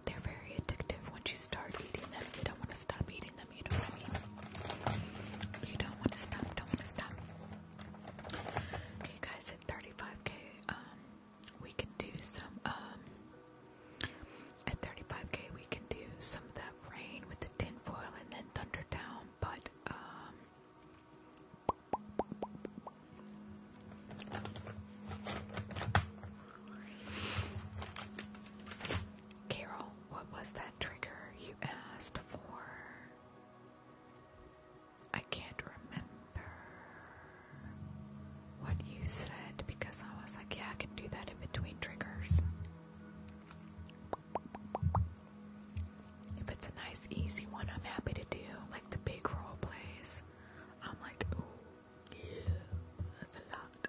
[SPEAKER 2] They're very addictive once you start eating them. You don't want to stop eating them, you know what I mean? You don't want to stop, don't stop. Okay guys, at 35k, um, we can do some, um, at 35k we can do some of that rain with Tinfoil and then Thundertown, but um, Carol, what was that trigger you asked for? I can't remember what you said because I was like, yeah, I can do that in between triggers. If it's a nice, easy one, I'm happy to do. Like the big role plays, I'm like, yeah, that's a lot.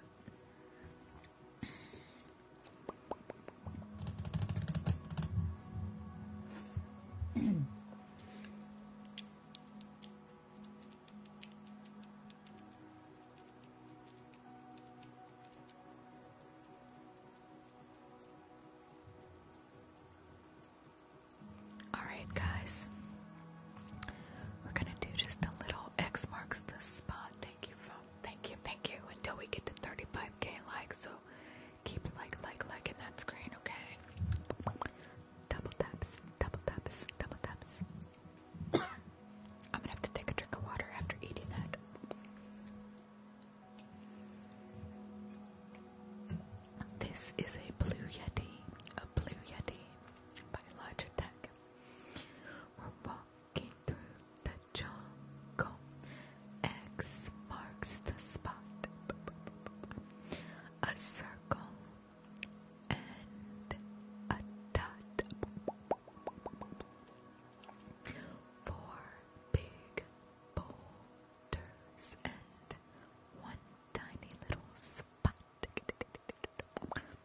[SPEAKER 2] Alright, guys. We're gonna do just a little X marks the spot. Thank you, Thank you, thank you. Until we get to 35k likes, so keep like, like, like liking that screen, okay? Double taps, double taps, double taps. I'm gonna have to take a drink of water after eating that. This is a Blue Yeti, a Blue Yeti by Logitech. We're walking through the jungle. X marks the spot. A circle and a dot. Four big boulders and one tiny little spot.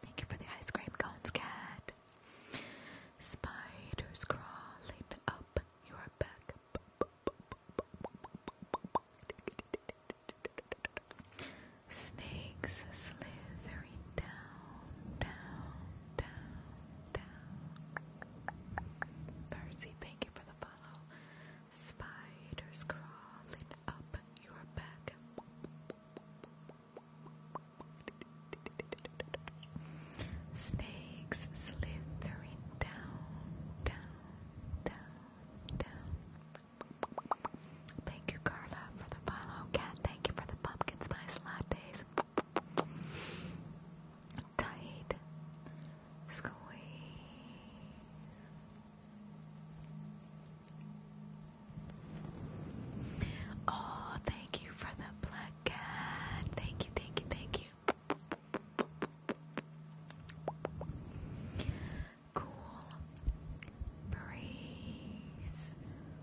[SPEAKER 2] Thank you for the ice cream cones, cat. Spiders crawling up your back. Snakes slithering down, down, down, down. thank you for the follow. Spiders crawling up your back. Snakes slithering down, down, down, down. Thank you, Carla, for the follow. Cat, thank you for the pumpkin spice lattes. Tight. Squeeze. Oh, thank you for the black cat. Thank you, thank you, thank you. Cool breeze.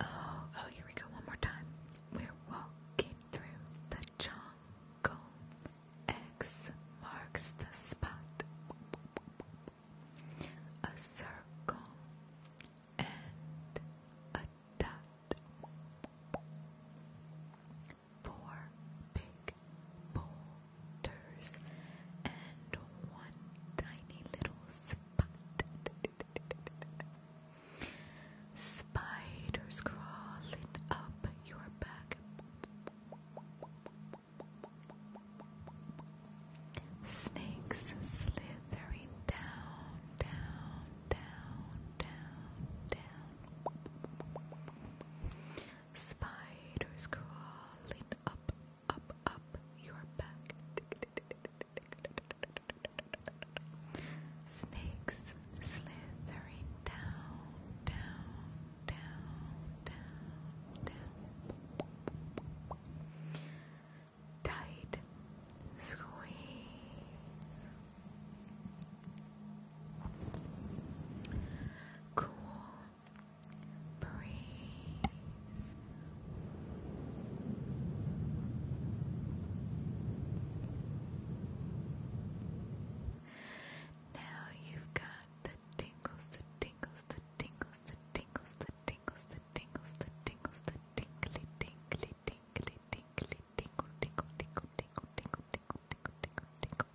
[SPEAKER 2] Oh, oh, here we go. One more time. We're walking through the jungle. X marks the spot. A circle and a Four big boulders and one tiny little spot. Spiders crawling up your back. Snakes slithering down, down, down, down, down. Spiders crawling up, up, up your back. Snakes slithering down, down, down, down, down. Tight squeeze. Cool breeze. Now you've got the tingles, the tingles, the tingles, the tingles, the tingles, the tingles, the tingles, the tingly, tingly, tingly, tingly, tinkle, tinkle, tinkle, tinkle, tinkle, tinkle, tinkle, tinkle,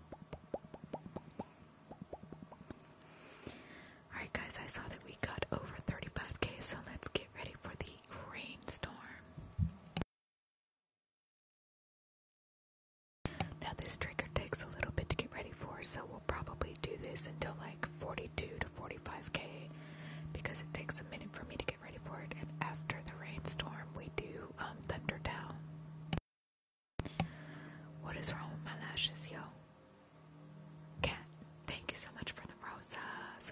[SPEAKER 2] Alright guys, I saw that we got over 35k, so let's get ready for the rainstorm. Now this trigger takes a little bit to get ready for, so we'll probably do this until like 42 to 45k because it takes a minute for me to get get ready for it. And after the rainstorm, we do um, What is wrong with my lashes, yo? Cat, thank you so much for the roses.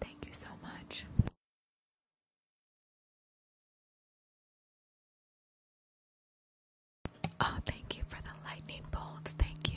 [SPEAKER 1] Thank you so much. Oh, thank you for the lightning bolts. Thank you.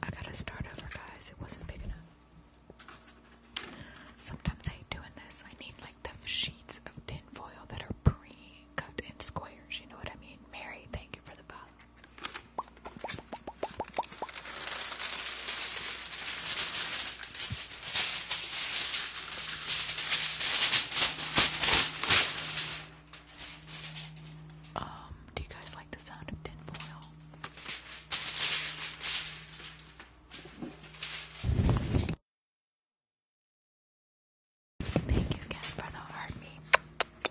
[SPEAKER 1] I gotta start over, guys. It wasn't big enough. Sometimes I hate doing
[SPEAKER 2] this. I need like the sheets of tin foil that are pre cut in squares. You know what I mean? Mary, thank you for the box. Um, do you guys like the sound of tin foil? Thank you again for the heart meat.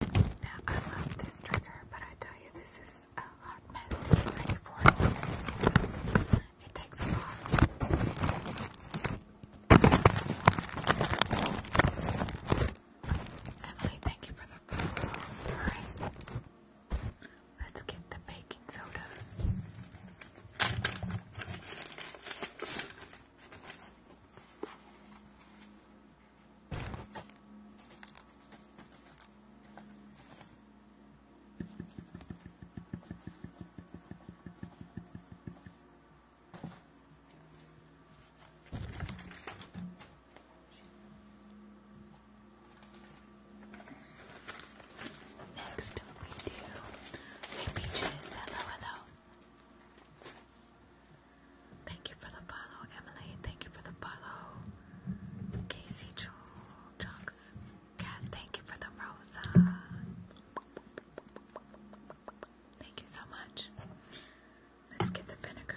[SPEAKER 2] Now, I love this trigger, but I tell you, this is a hot mess It, takes a lot. Emily, thank you for the photo. Let's get the baking soda. Next we do hey peaches, hello, hello. Thank you for the follow, Emily. Thank you for the follow. Casey Chunks. thank you for the rosa. Thank you so much. Let's get the vinegar.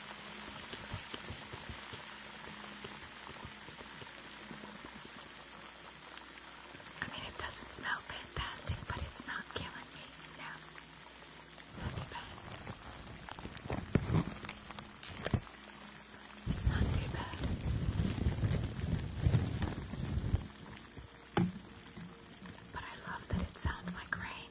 [SPEAKER 2] I mean, it doesn't smell fantastic, but it's not killing me now. Not too bad. It's not too bad. But I love that it sounds like rain.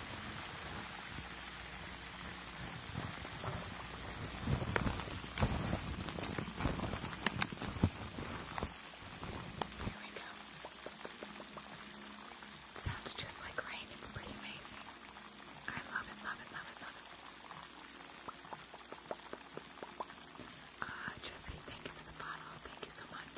[SPEAKER 2] There we go. sounds just like rain. It's pretty amazing. I love it, love it, love it, love it. Ah, Jesse, thank you for the bottle. Thank you so much.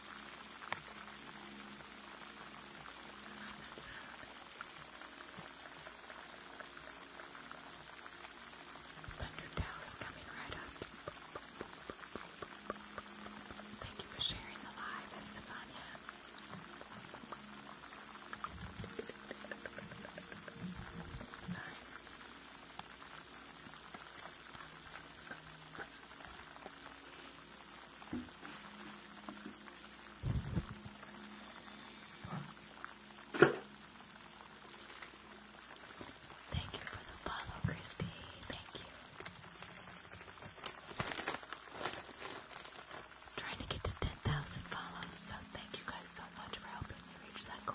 [SPEAKER 2] Thundertail is coming right up. Thank you for sharing the live, Estefania. Sorry. Thank you for the follow, Christy. Thank you. trying to get to 10,000 follows, so thank you guys so much for helping me reach that goal.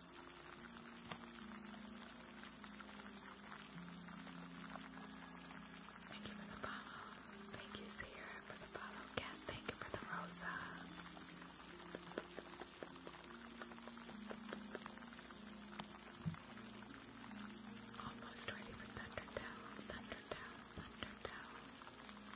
[SPEAKER 2] Thank you for the follows. Thank you, for the follow. Cat, thank you for the rosa. Almost ready for Thunderdell, Thunderdell, Thunderdell.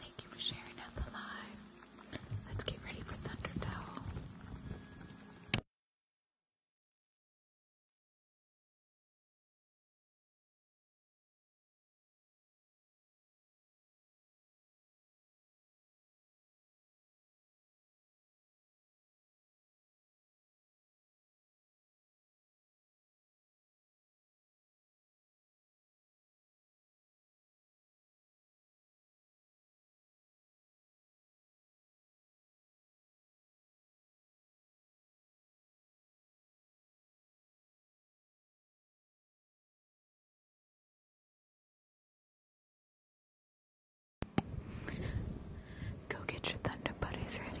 [SPEAKER 1] Thank you for sharing out the live. Let's get ready for Thunderdome. Go get your thunder buddies ready.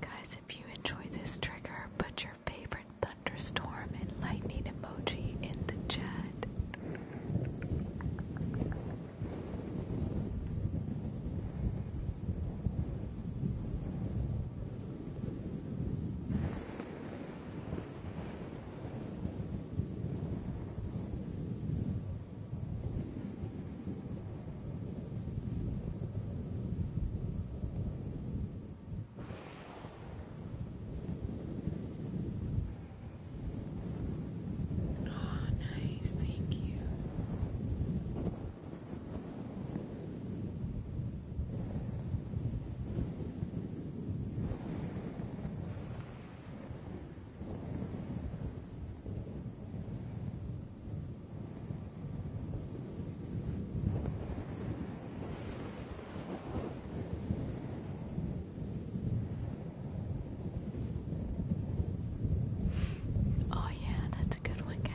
[SPEAKER 2] Guys, if you enjoyed this trigger, put your favorite thunderstorm and lightning emoji in the chat. Oh, nice, thank you. Oh, yeah, that's a good one, Cat.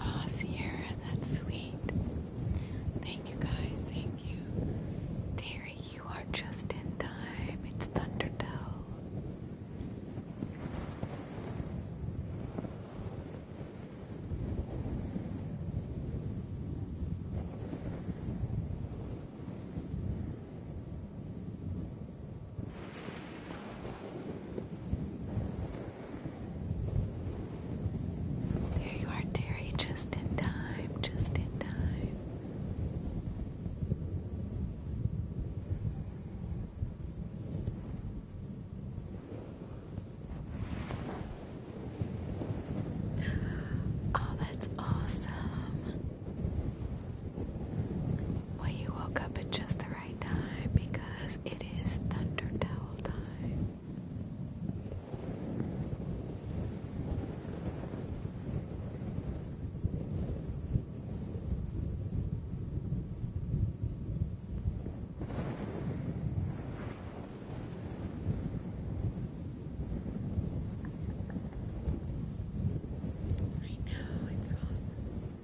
[SPEAKER 2] Oh, Sierra, that's sweet. Thank you, guys. Thank you. Terry, you are just in time. It's Thunderdell. There you are, Terry, just in time, just in time. Oh, that's awesome. Well, you woke up at just the right time because it is Thunder time. I know, it's awesome.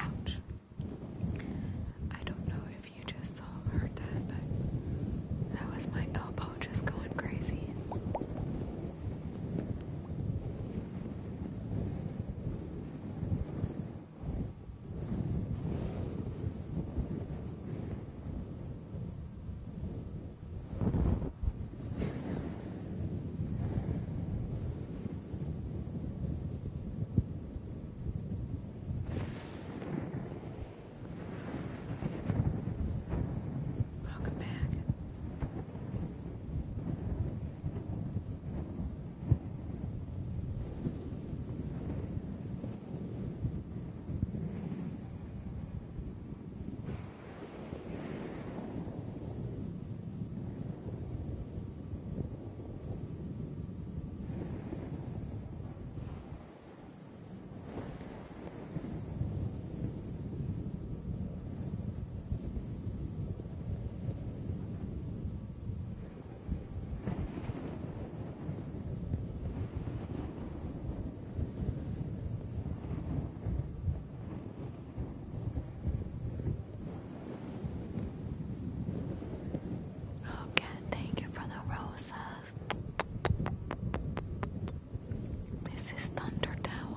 [SPEAKER 2] Ouch. I don't know if you just saw or heard that, but that was my elbow just going crazy. Welcome back. Okay, oh, thank you for the roses. This is Thunder Towel.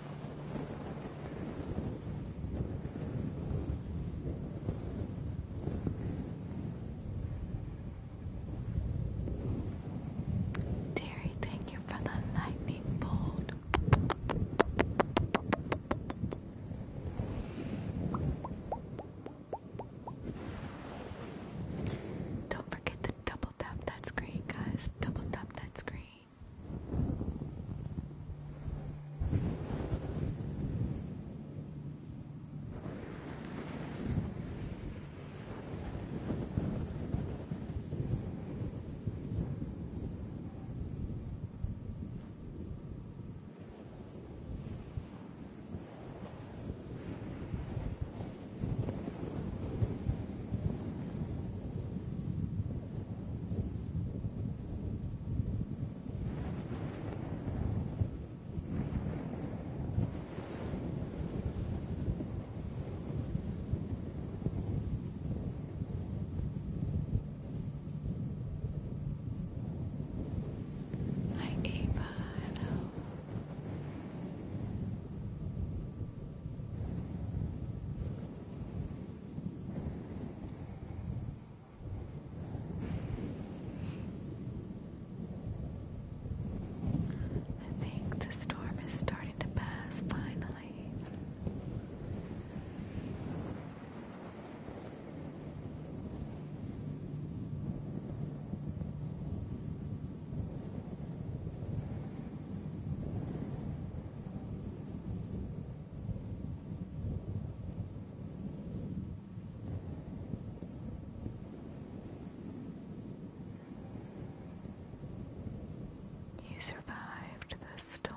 [SPEAKER 2] Terry, thank you for the lightning bolt. Don't forget to Double tap that screen, guys. Double tap that screen. Hi Ava, I think the storm is starting to pass finally. You survived the storm.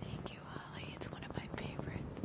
[SPEAKER 2] Thank you, Holly. It's one of my favorites.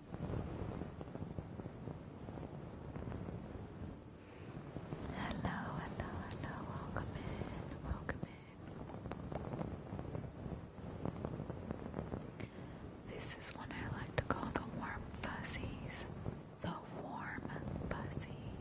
[SPEAKER 2] Hello, hello, hello, welcome in, welcome in. This is one I like to call the warm fuzzies. The warm fuzzies.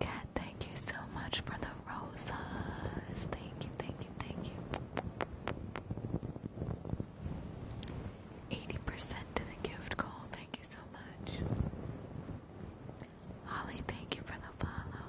[SPEAKER 2] Kat, thank you so much for the roses. Thank you, thank you, thank you. 80% to the gift goal. Thank you so much. Holly, thank you for the follow.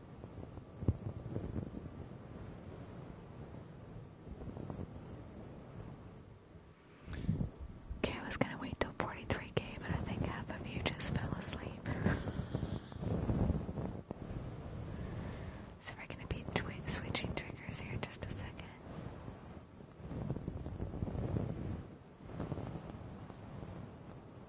[SPEAKER 2] Okay, I was gonna wait till 43k, but I think half of you just fell asleep. so we gonna be switching triggers here just a second.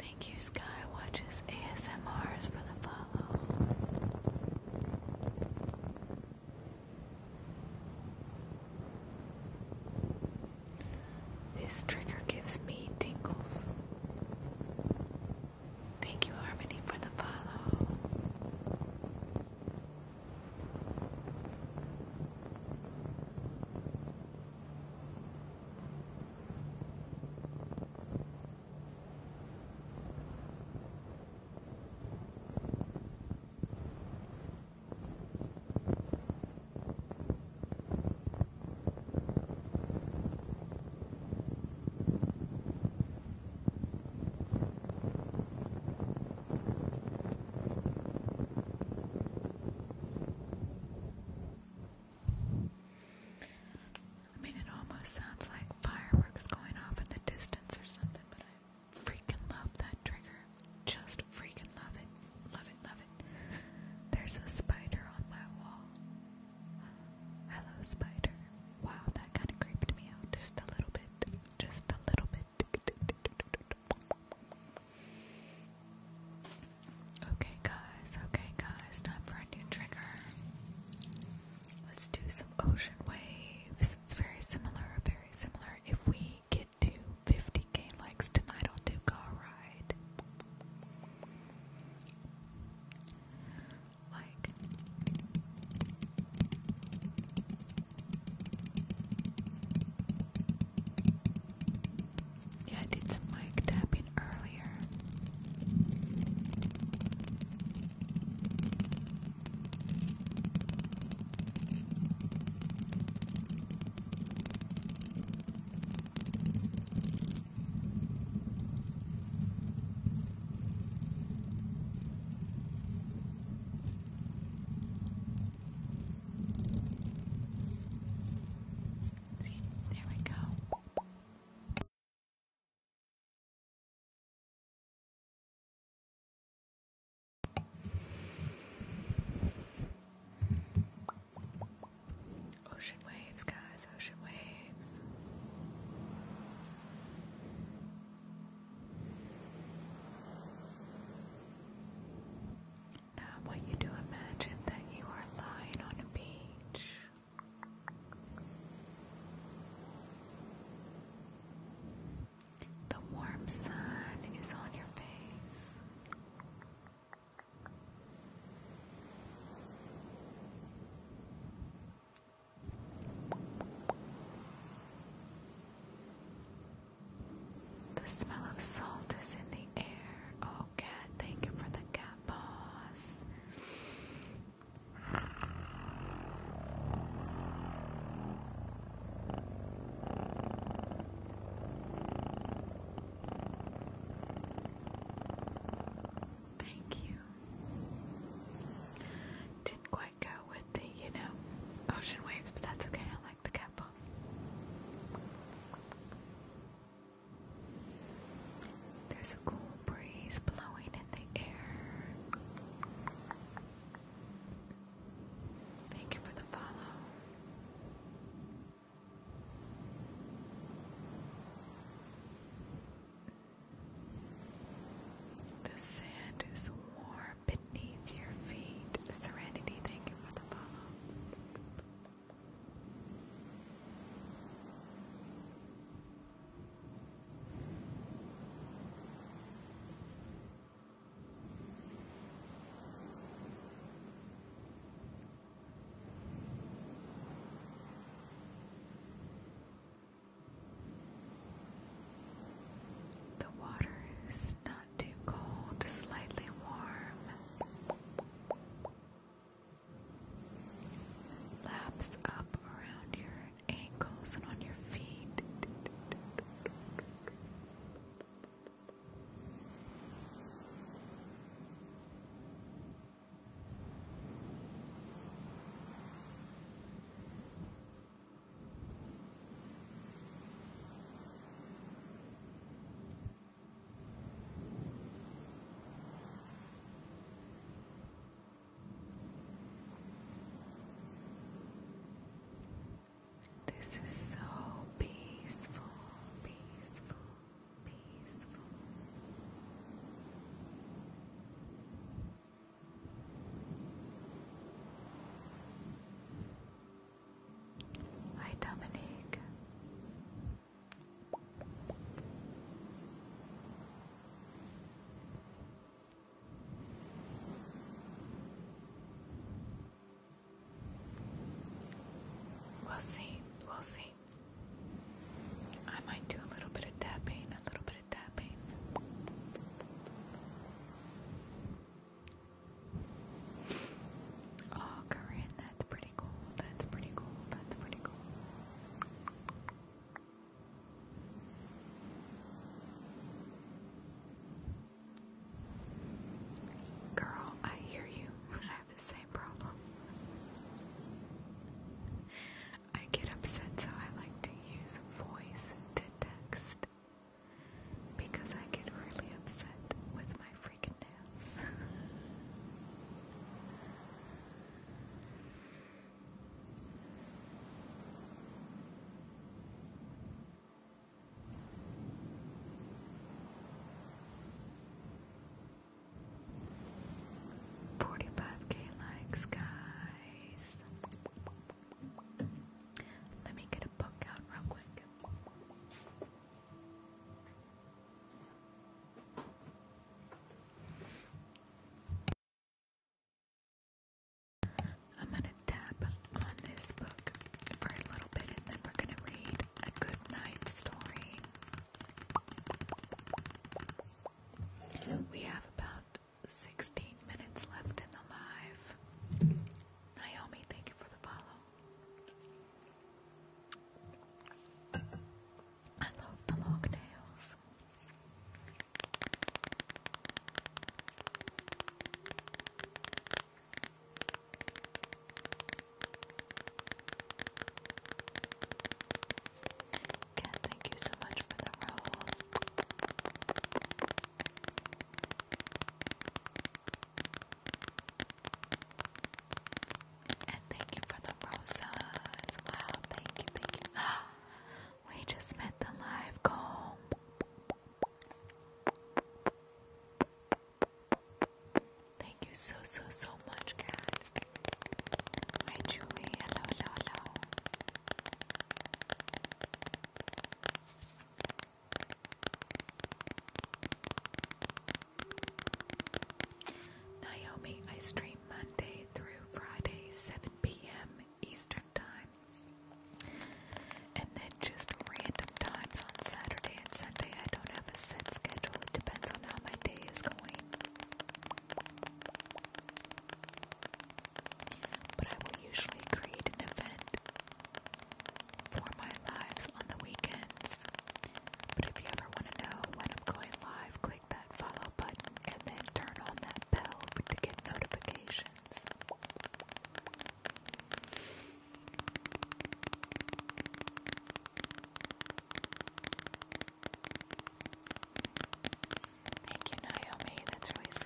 [SPEAKER 2] Thank you, Sky Watches ASMRs, for the follow. This trigger gives me tingles.
[SPEAKER 1] Thank you, Harmony, for the follow.
[SPEAKER 2] I mean, it almost sounds like fireworks going off in the distance or something, but I freaking love that trigger. Just freaking love it. Love it, love it. There's a spider on my wall. Hello, spider. Wow, that kind of creeped me out just a little bit. Just a little bit. Okay, guys. Okay, guys. Time for a new trigger. Let's do some ocean waves. It's very similar, very similar. If we get to 50k likes tonight, I'll do car ride. Like, yeah, I did some mic tapping earlier. See, there we go. Ocean waves, guys, ocean waves. Now, I you to imagine that you are lying on a beach. The warm sun is on your face. The smell of salt is in the air. Oh, cat, thank you for the cat paws. Thank you. Didn't quite go with the, you know, ocean waves, but that's okay. I like the cat balls. There's a cool breeze blowing in the air. Thank you for the follow. The sand is warm beneath your feet. Serenity, thank you for the follow. The water is not too cold, slightly warm. Laps up around your ankles and on your feet. This is so peaceful, peaceful, peaceful. Hi, Dominique. We'll see, we'll see. I might do a little bit of tapping, a little bit of tapping. Oh, Corinne, that's pretty cool. That's pretty cool. That's pretty cool. Girl, I hear you. I have the same problem. I get upset, so I like to use voice to text because I get really upset with my freaking nails. Forty-five K likes, guys. Let me get a book out real quick. I'm gonna tap on this book for a little bit and then we're gonna read a good night story. We have about 16 minutes left in the live. Naomi, thank you for the follow. I love the long nails thank you so much for the rose. And thank you for the roses. thank you, thank you. We just met the live goal. Thank you so, so, so much, cat. Hi, Julie. Hello, hello, hello. Naomi, I stream Monday through Friday, 7 p.m. Eastern time. And then just random times on Saturday and Sunday. I don't have a set schedule, it depends on how my day is going. But I will usually create an event for my lives on the weekends. But if you ever want to know when I'm going live, click that follow button and then turn on that bell to get notifications. Thank you, Naomi. That's really sweet.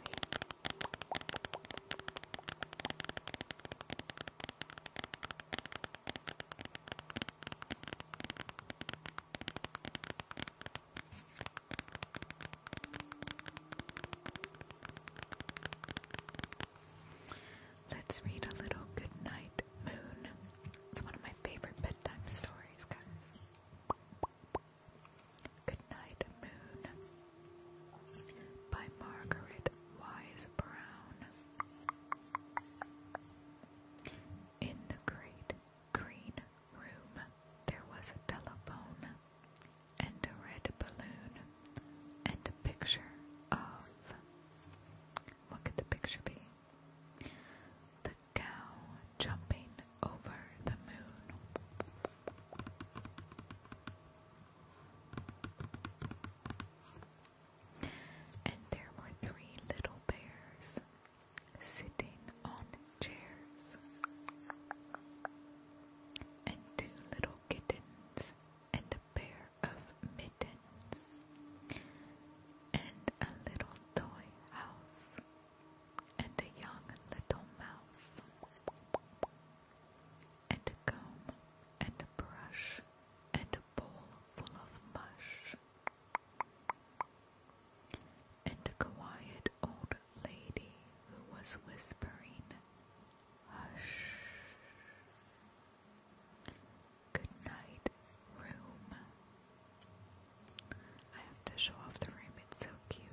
[SPEAKER 2] Let's read a little Goodnight Moon. It's one of my favorite bedtime stories, guys. Goodnight Moon by Margaret Wise Brown. In the great green room, there was a telephone and a red balloon and a picture of what could the picture be? The cow jumping over the moon. And there were three little bears sitting on chairs and two little kittens, and a pair of mittens, and a little toy house, and a young little mouse, and a comb, and a brush, and a bowl full of mush. And a quiet old lady who was whispering, Hush. Good night, room. I have to show off the room, it's so cute.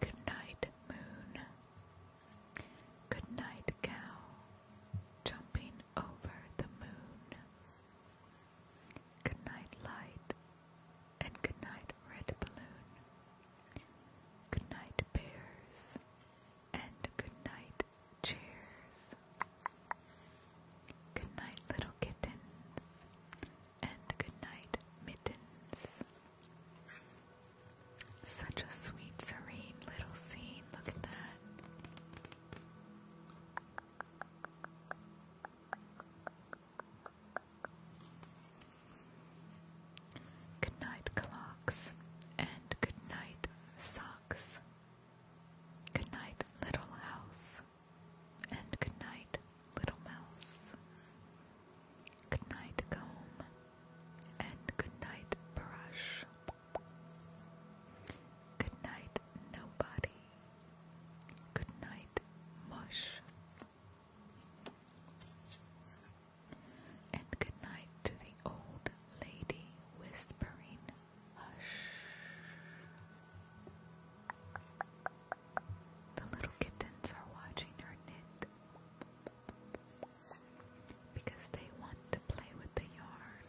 [SPEAKER 2] Good night, moon. Good night, cow, jumping over the moon. Good night, light, and good night, red balloon. Good night, bears, and good night, chairs. Good night, little kittens, and good night, mittens. Such a sweet, serene little scene. Look at that. Good night, clocks, and good night, socks. Good night, little house, and good night, little mouse. Good night, comb, and good night, brush. Good night, nobody. Good night, mush. And good night to the old lady whispering hush. The little kittens are watching her knit because they want to play with the yarn.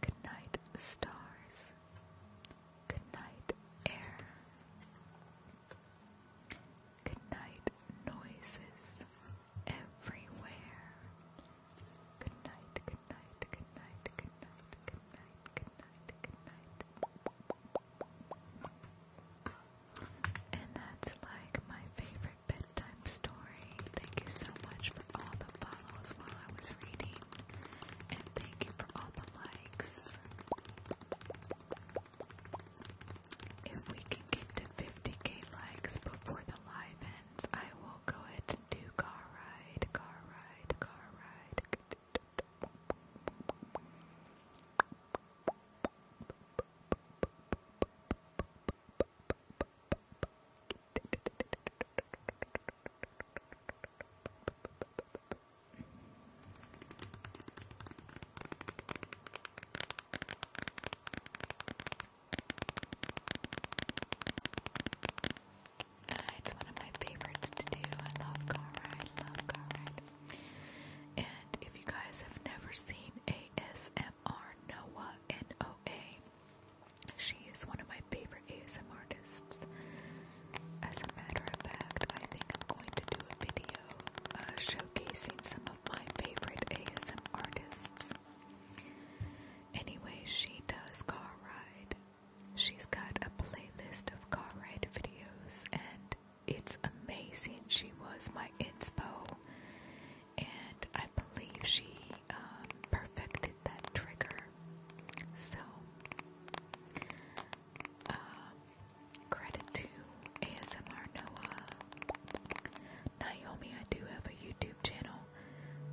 [SPEAKER 2] Good night, stars. Good night, air.
[SPEAKER 1] Good night, noises everywhere. Good night, good night, good night, good night, good night, good night,
[SPEAKER 2] good night. Good night. And that's like my favorite bedtime story. Thank you so much for all the follows while I was reading. And thank you for all the likes. If we can get to 50k likes before the live ends, I will go ahead and do car ride, car ride, car ride. Ah, it's one of my favorites to do. I love car ride, love car ride. And if you guys have never seen a ASMR Noah N-O-A. She is one of my favorite ASMR artists. As a matter of fact, I think I'm going to do a video uh, showcasing some of my favorite ASM artists. Anyway, she does car ride. She's got a playlist of car ride videos and it's amazing. She was my inspo, and I believe she um, perfected that trigger. So, uh, credit to ASMR Noah. Naomi, I do have a YouTube channel.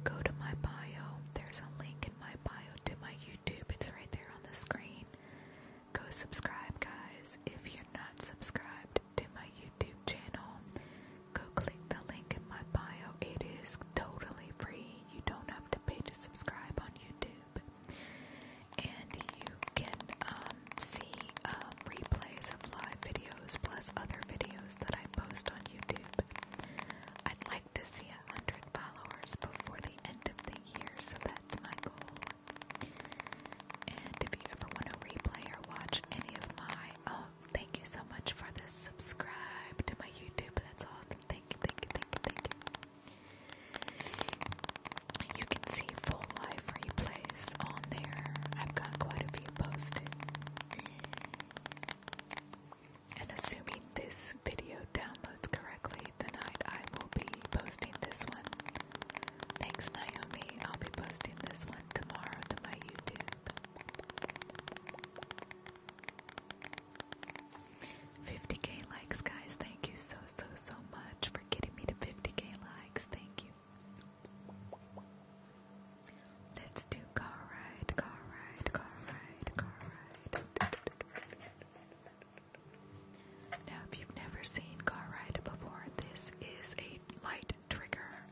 [SPEAKER 2] Go to my bio. There's a link in my bio to my YouTube. It's right there on the screen. Go subscribe, guys. If you're not subscribed, to my YouTube channel. Go click the link in my bio. It is totally free. You don't have to pay to subscribe on YouTube. And you can um, see um, replays of live videos plus other videos that I post on YouTube. I'd like to see a hundred followers before the end of the year, so that's my goal. And if you ever want to replay or watch any of my, oh, thank you so much for this. Subscribe to my YouTube. That's awesome. Thank you, thank you, thank you, thank you. You can see full live replays on there. I've got quite a few posted. And assuming this video downloads correctly tonight, I will be posting this one. Thanks, Naomi. I'll be posting this one tomorrow to my YouTube. 50k likes, guys. Thank you so, so, so much for getting me to 50k likes. Thank you. Let's do car ride, car ride, car
[SPEAKER 1] ride, car ride. Now, if you've never
[SPEAKER 2] seen Car Ride before, this is a light trigger.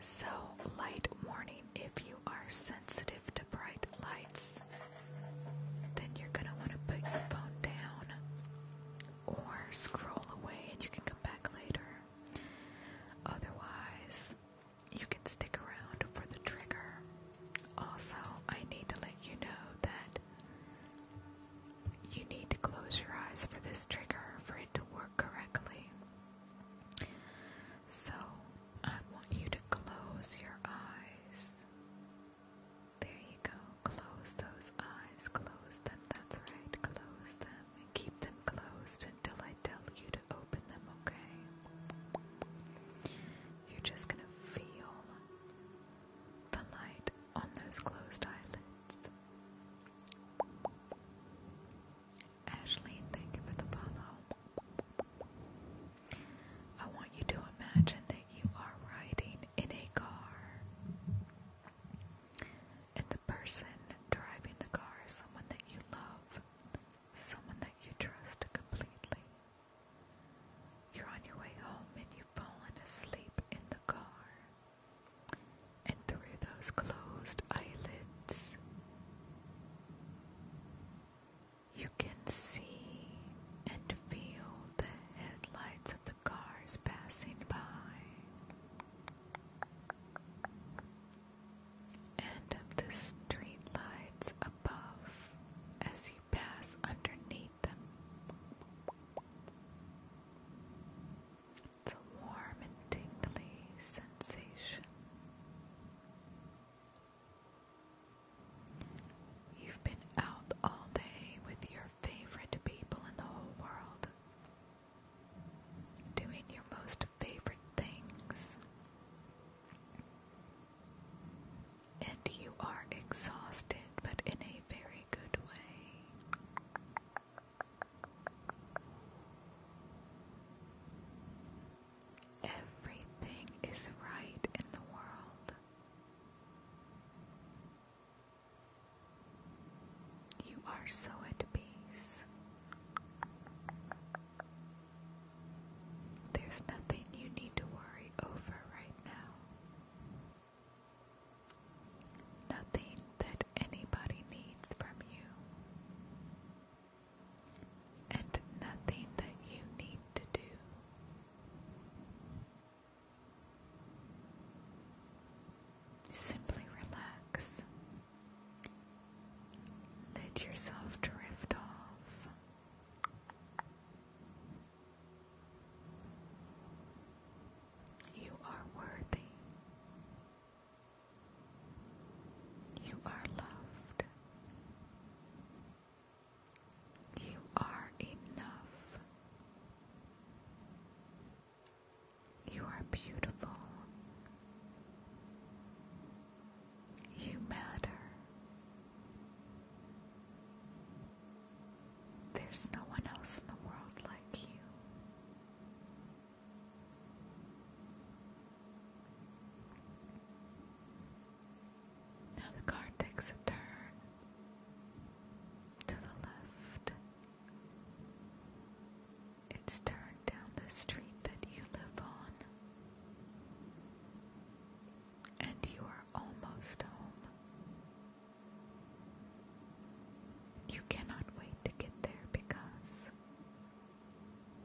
[SPEAKER 2] So, light warning if you are sensitive to bright lights, then you're going to want to put your phone down or scroll away and you can come back later. Otherwise, you can stick around for the trigger. Also, I need to let you know that you need to close your eyes for this trigger for it to work correctly. So, I want you to close your eyes. There you go. Close those eyes. Close them. That's right. Close them and keep them closed until I tell you to open them, okay? You're just going to feel on those closed eyelids. Ashley, thank you for the follow. I want you to imagine that you are
[SPEAKER 1] riding in a car. And the person driving the car is someone that you love, someone that you trust completely.
[SPEAKER 2] You're on your way home and you've fallen asleep in the car and through those closed eyelids, you can see and feel the headlights of the cars passing by, and of the street lights above as you pass underneath. It's a warm and tingly sensation. You've been out all day with your favorite people in the whole world, doing your most favorite things, and you are exhausted but in a very good way. Everything is right in the world. You are so at peace. There's nothing you need to worry over right now. Nothing that anybody needs from you, and nothing that you need to do. Simply relax. Let yourself drift off. You are worthy. You are loved. You are enough. You are beautiful. You matter. There's no one else in the world like you. Now the car takes a turn to the left. It's turned down the street that you live on. And you are almost home. You cannot wait to get there because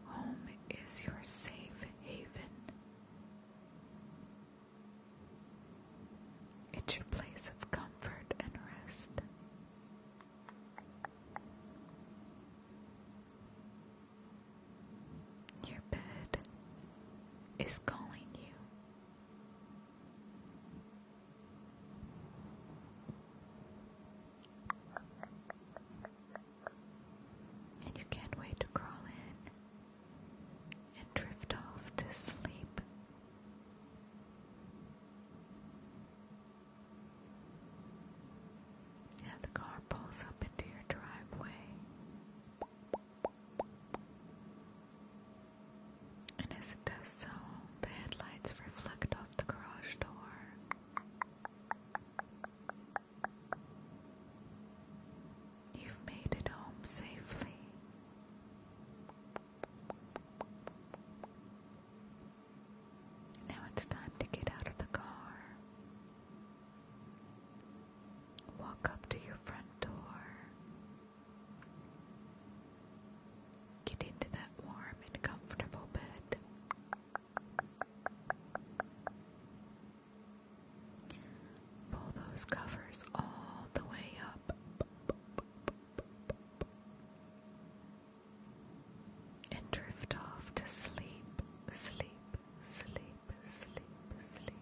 [SPEAKER 2] home is your safe haven. It's your place of comfort and rest. Your bed is calling you. And you can't wait to crawl in and drift off to sleep. And the car pulls up into your driveway. And as it does so, the headlights reflect off the garage door. You've made it home safely. Now it's time to get out of the car. Walk up to your front door. Get into that warm and comfortable bed. Pull those covers all the way up and drift off to sleep, sleep, sleep, sleep, sleep.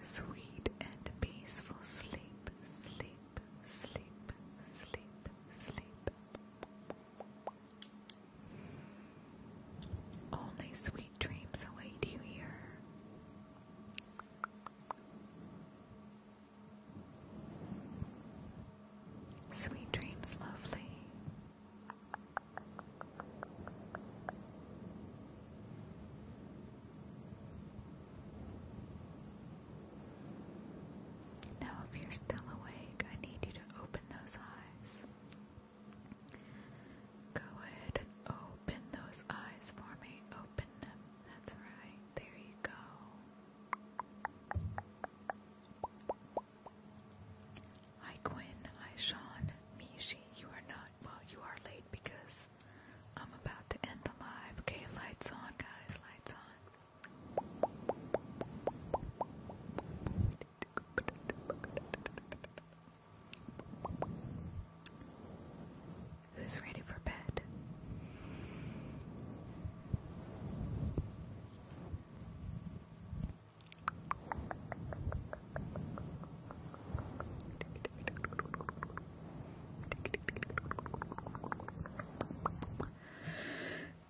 [SPEAKER 2] Sweet and peaceful sleep, sleep, sleep, sleep, sleep. Only sweet dreams await you here. Sweet dreams, lovely. Now, if you're still awake, I need you to open those eyes. Go ahead open those eyes for me. Open them. That's right. There you go. Hi, Quinn. Hi, Sean. Mishi, you are not. Well, you are late because I'm about to end the live. Okay, lights on, guys, lights on. Who's ready for bed?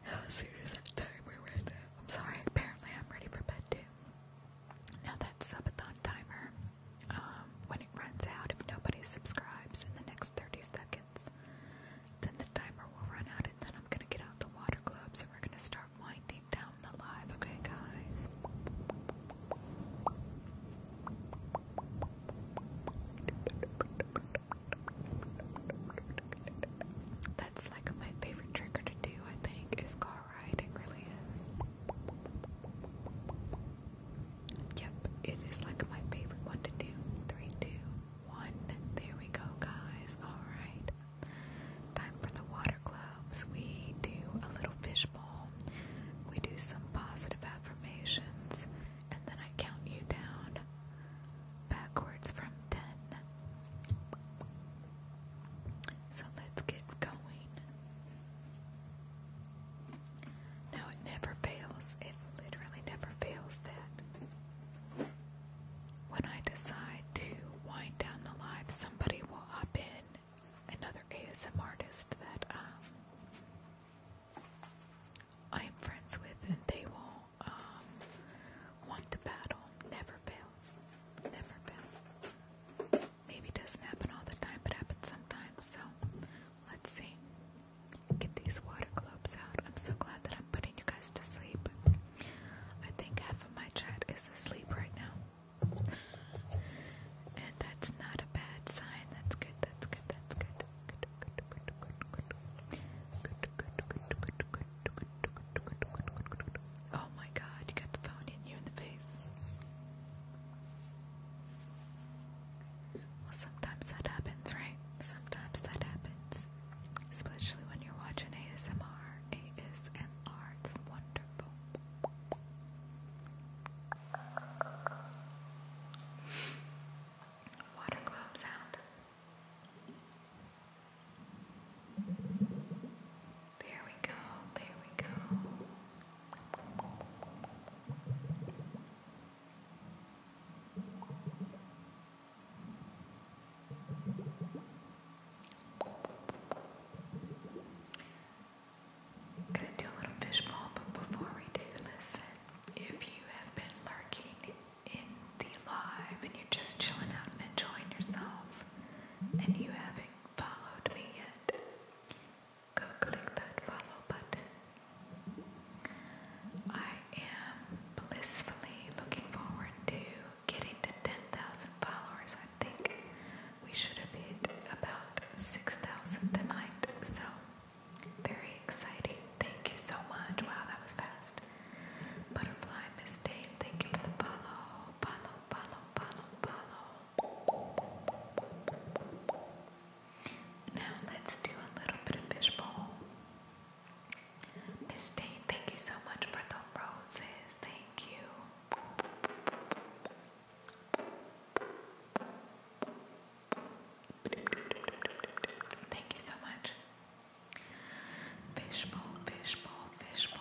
[SPEAKER 1] How serious that timer right there. I'm sorry, apparently I'm ready for bed too.
[SPEAKER 2] Now that subathon timer, um, when it runs out, if nobody subscribes in the next 30 seconds, then the timer will run out and then I'm gonna get out the water gloves, and we're gonna start winding down the live, okay guys? That's like my favorite trigger to do, I think, is car ride. It really is. Yep, it is like my favorite one to do. Three, two, one. There we go, guys. Alright. Time for the water gloves. We do a little fish we do some positive affirmations, and then I count you down backwards from 10. So let's get going. No, it never fails. It literally never fails that. When I decide to wind down the live, somebody will hop in, another ASM artist that um, I am friends with, and they will um, want to battle. Never fails. Never fails. Maybe it doesn't happen all the time, but happens sometimes. So let's see. Get these water globes out. I'm so glad that I'm putting you guys to sleep. I think half of my chat is asleep right now. And that's not a bad sign. That's good, that's good, that's good. Good, good, good, good, good. Good, good, good, good, good, good. Oh my god, you got the phone in you in the face. Well, sometimes that happens, right? Sometimes that happens. Especially when you're watching ASMR. ASMR, it's wonderful. Water globe sound. There we go, there we go. I'm gonna do a little fishbowl, but before we do, listen. If you have been lurking in the live and you're just chilling out and enjoying yourself, and you haven't followed me yet, go click that follow button. I am blissfully looking forward to getting to 10,000 followers. I think we should have hit about 6,000 tonight, so very exciting. Thank you so much. Wow, that was fast. Butterfly Miss Dane, thank you for the follow. Follow, follow, follow, follow. Now let's do a little bit of fishbowl. Miss Dane, thank you so much for the roses. Thank you. Thank you so much. Fishbowl, fishbowl, fishbowl.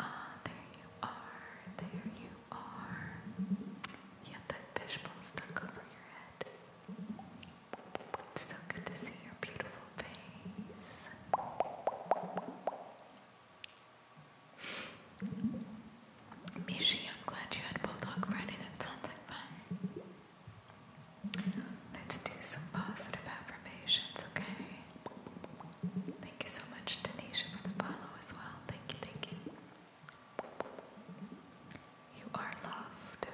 [SPEAKER 2] Ah, there you are. There you are. You have that fishbowl stuck over your head. It's so good to see your beautiful face. Mishi, I'm glad you had Bulldog Friday. That sounds like fun. Let's do some positive affirmations, okay? Thank you so much, Tanisha, for the follow as well. Thank you, thank you. You are loved.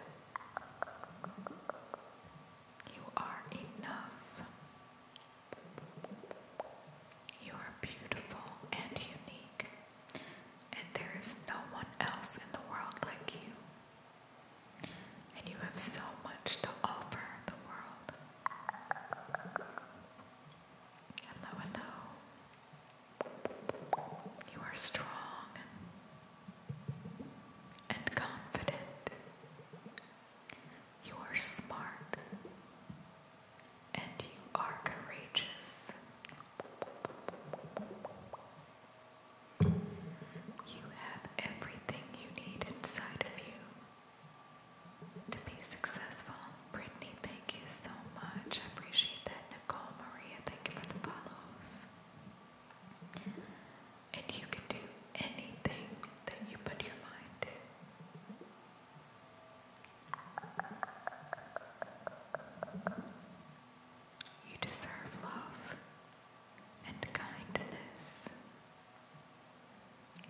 [SPEAKER 2] You are enough. You are beautiful and unique, and there is no one else in the world like you. And you have so much to offer the world. Hello, hello. You are strong and confident. You are smart and you are courageous. You have everything you need inside of you to be successful. Brittany, thank you so much. I appreciate that. Nicole Maria, thank you for the follows. And you can do anything that you put your mind to. You deserve love and kindness.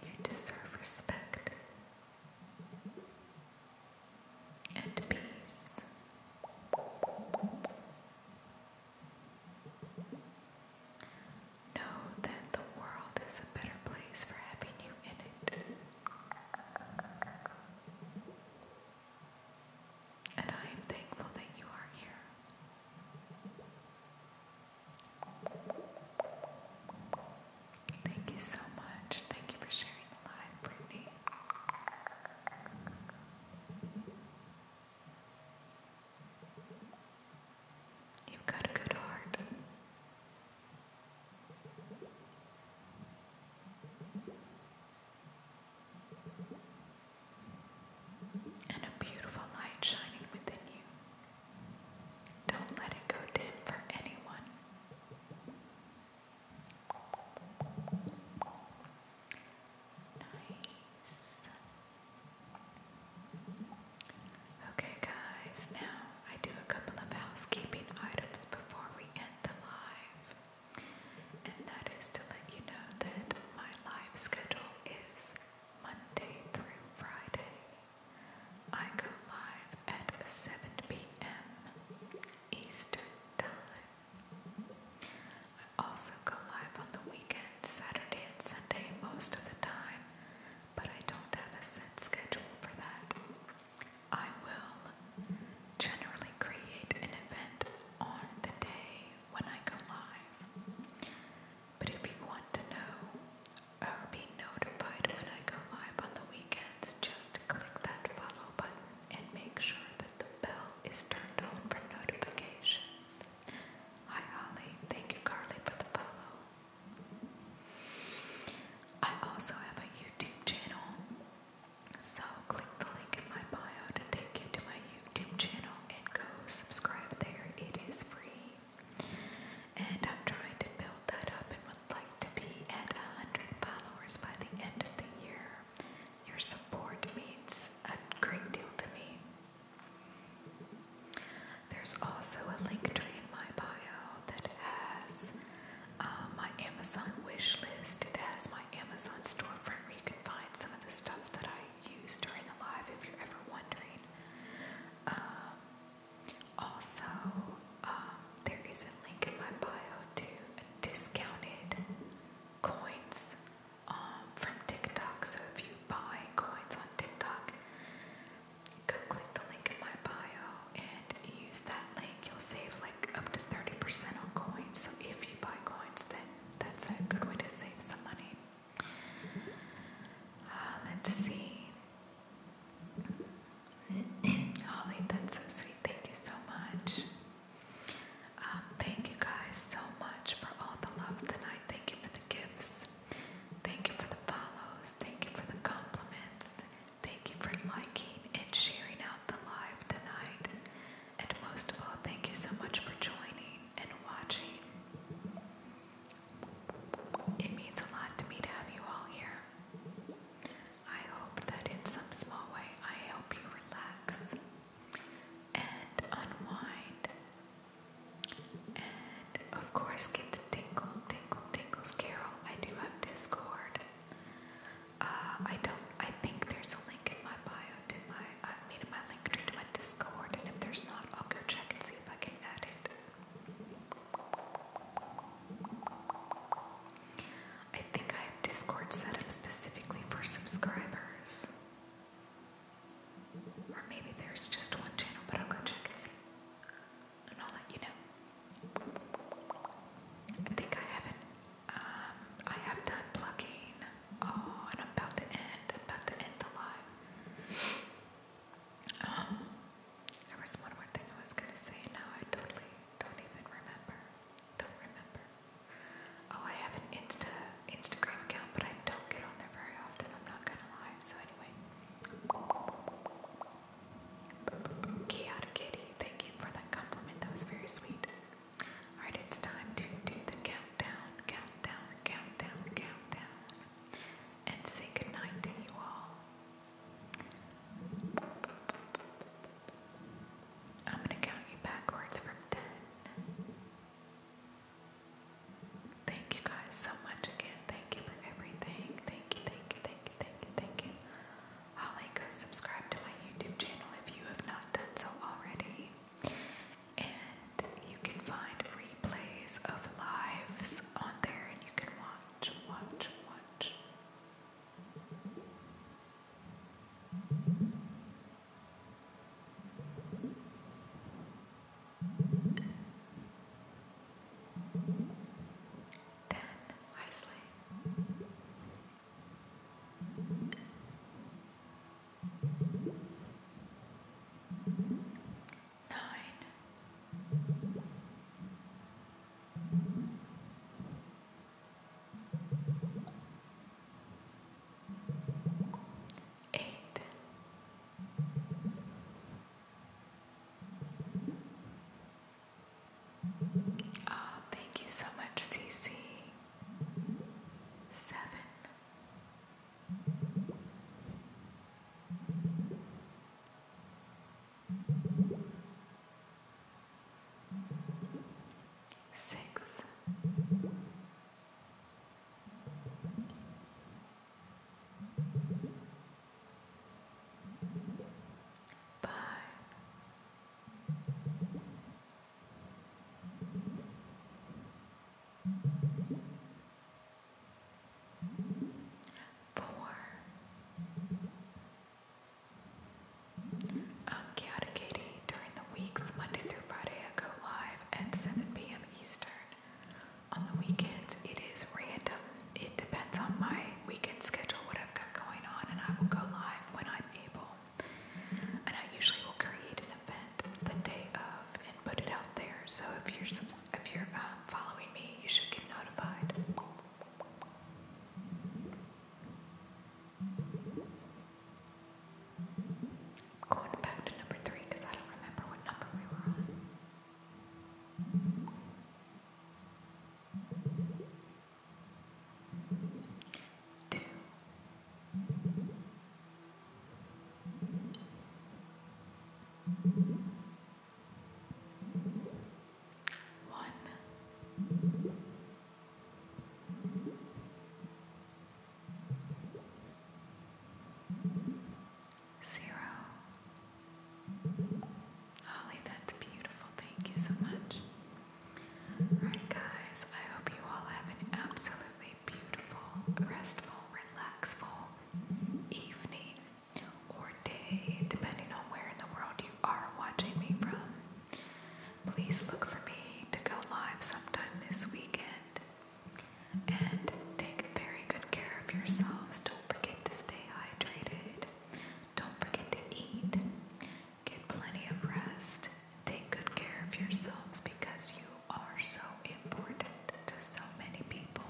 [SPEAKER 2] You deserve respect and peace. Know that the world is a better place for having you in it. And I am thankful that you are here. Thank you so much. Thank you for sharing the live, Brittany. You've got a good heart. And a beautiful light shining within you. Don't let it go dim for anyone. Nice. Okay, guys, now I do a couple of housekeeping items before we end the live, and that is to let you know that my live schedule is Monday through Friday. I go live at 7 p.m. Eastern Time. I also go live on the weekend, Saturday and Sunday, most of the time, but I don't have a set schedule for that. I will generally create an event on the day when I go live. But if you want to know or be notified when I go live on the weekend, just click that follow button and make sure that the bell is turned on for notifications. Hi Holly, thank you Carly for the follow. I also have a YouTube channel, so click the link in my bio to take you to my YouTube channel and go subscribe there. It is free. And I'm trying to build that up like to be at 100 followers by the end of the year. Your support means a great deal to me. There's also a link tree in my bio that has uh, my Amazon wish list. It has my Amazon storefront where you can find some of the stuff that I use during the live if you're ever wondering. Um, also, um, there is a link in my bio to discounted coins um, from TikTok. So if you buy coins on TikTok, go click the link in my bio and use that link. You'll save like up to 30% on coins. So if you buy coins, then that's a good way to save some money. Uh, let's see. Holly, that's so sweet. Thank you so much. Um, thank you guys so much for all the love tonight. Thank you for the gifts. Thank you for the follows. Thank you for the compliments. Thank you for liking and sharing out the live tonight. And most of all, thank you so much for joining and watching. It means a lot to me to have you all here. I hope that in some small way I help you relax and unwind. And of course, get the tingle, tingle, tingles, Carol. I do have Discord. Uh, I don't. I think there's a link in my bio to my. I mean, in my link to my Discord. And if there's not, I'll go check and see if I can add it. I think I have Discord set up specifically for subscribers. Or maybe there's just one channel, but I'll go check and see. And I'll let you know. I think I haven't. Um, I have done plugging. Oh, and I'm about to end. about to end the live. Um, there was one more thing I was gonna say. Now I totally don't even remember. Don't remember. Oh, I have an Insta Instagram account, but I don't get on there very often. I'm not gonna lie. So anyway, Kiara Kitty, thank you for that compliment. That was very sweet. All right, it's time to do the countdown, countdown, countdown, countdown, and say goodnight to you all. I'm going to count you backwards from 10. Thank you guys so much again. Thank you for everything. Thank you, thank you, thank you, thank you, thank you. Holly, subscribe to my YouTube channel if you have not done so already. And you can find replays of lives on there and you can watch, watch, watch. Then wisely. Nine eight, oh, thank you so much, CC. Seven six. Five, four, um, Kat Katie, during the weeks Monday through Friday, I go live at 7 p.m. Eastern. On the weekends, it is random. It depends on my weekend schedule, what I've got going on, and I will go live when I'm able. And I usually will create an event the day of and put it out there. So if you're if you're um, following me, you should get notified. Going back to number three because I don't remember what number we were on. Two one. Holly, that's beautiful. Thank you so much. Alright, guys, I hope you all have an absolutely beautiful, restful, relaxful evening or day, depending on where in the world you are watching me from. Please look for me to go live sometime this weekend. And take very good care of yourselves. Don't forget to stay hydrated. Don't forget to eat. Get plenty of rest. Take good care of yourselves because you are so important to so many people.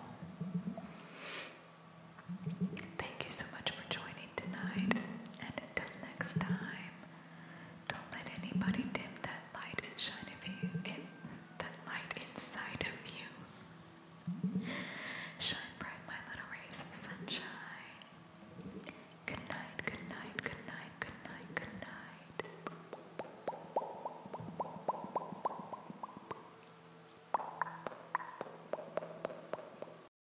[SPEAKER 2] Thank you so much for joining night And until next time, don't let anybody dim that light and shine of you that light inside of you. Shine bright, my little rays of sunshine. Good night, good night, good night, good night, good night.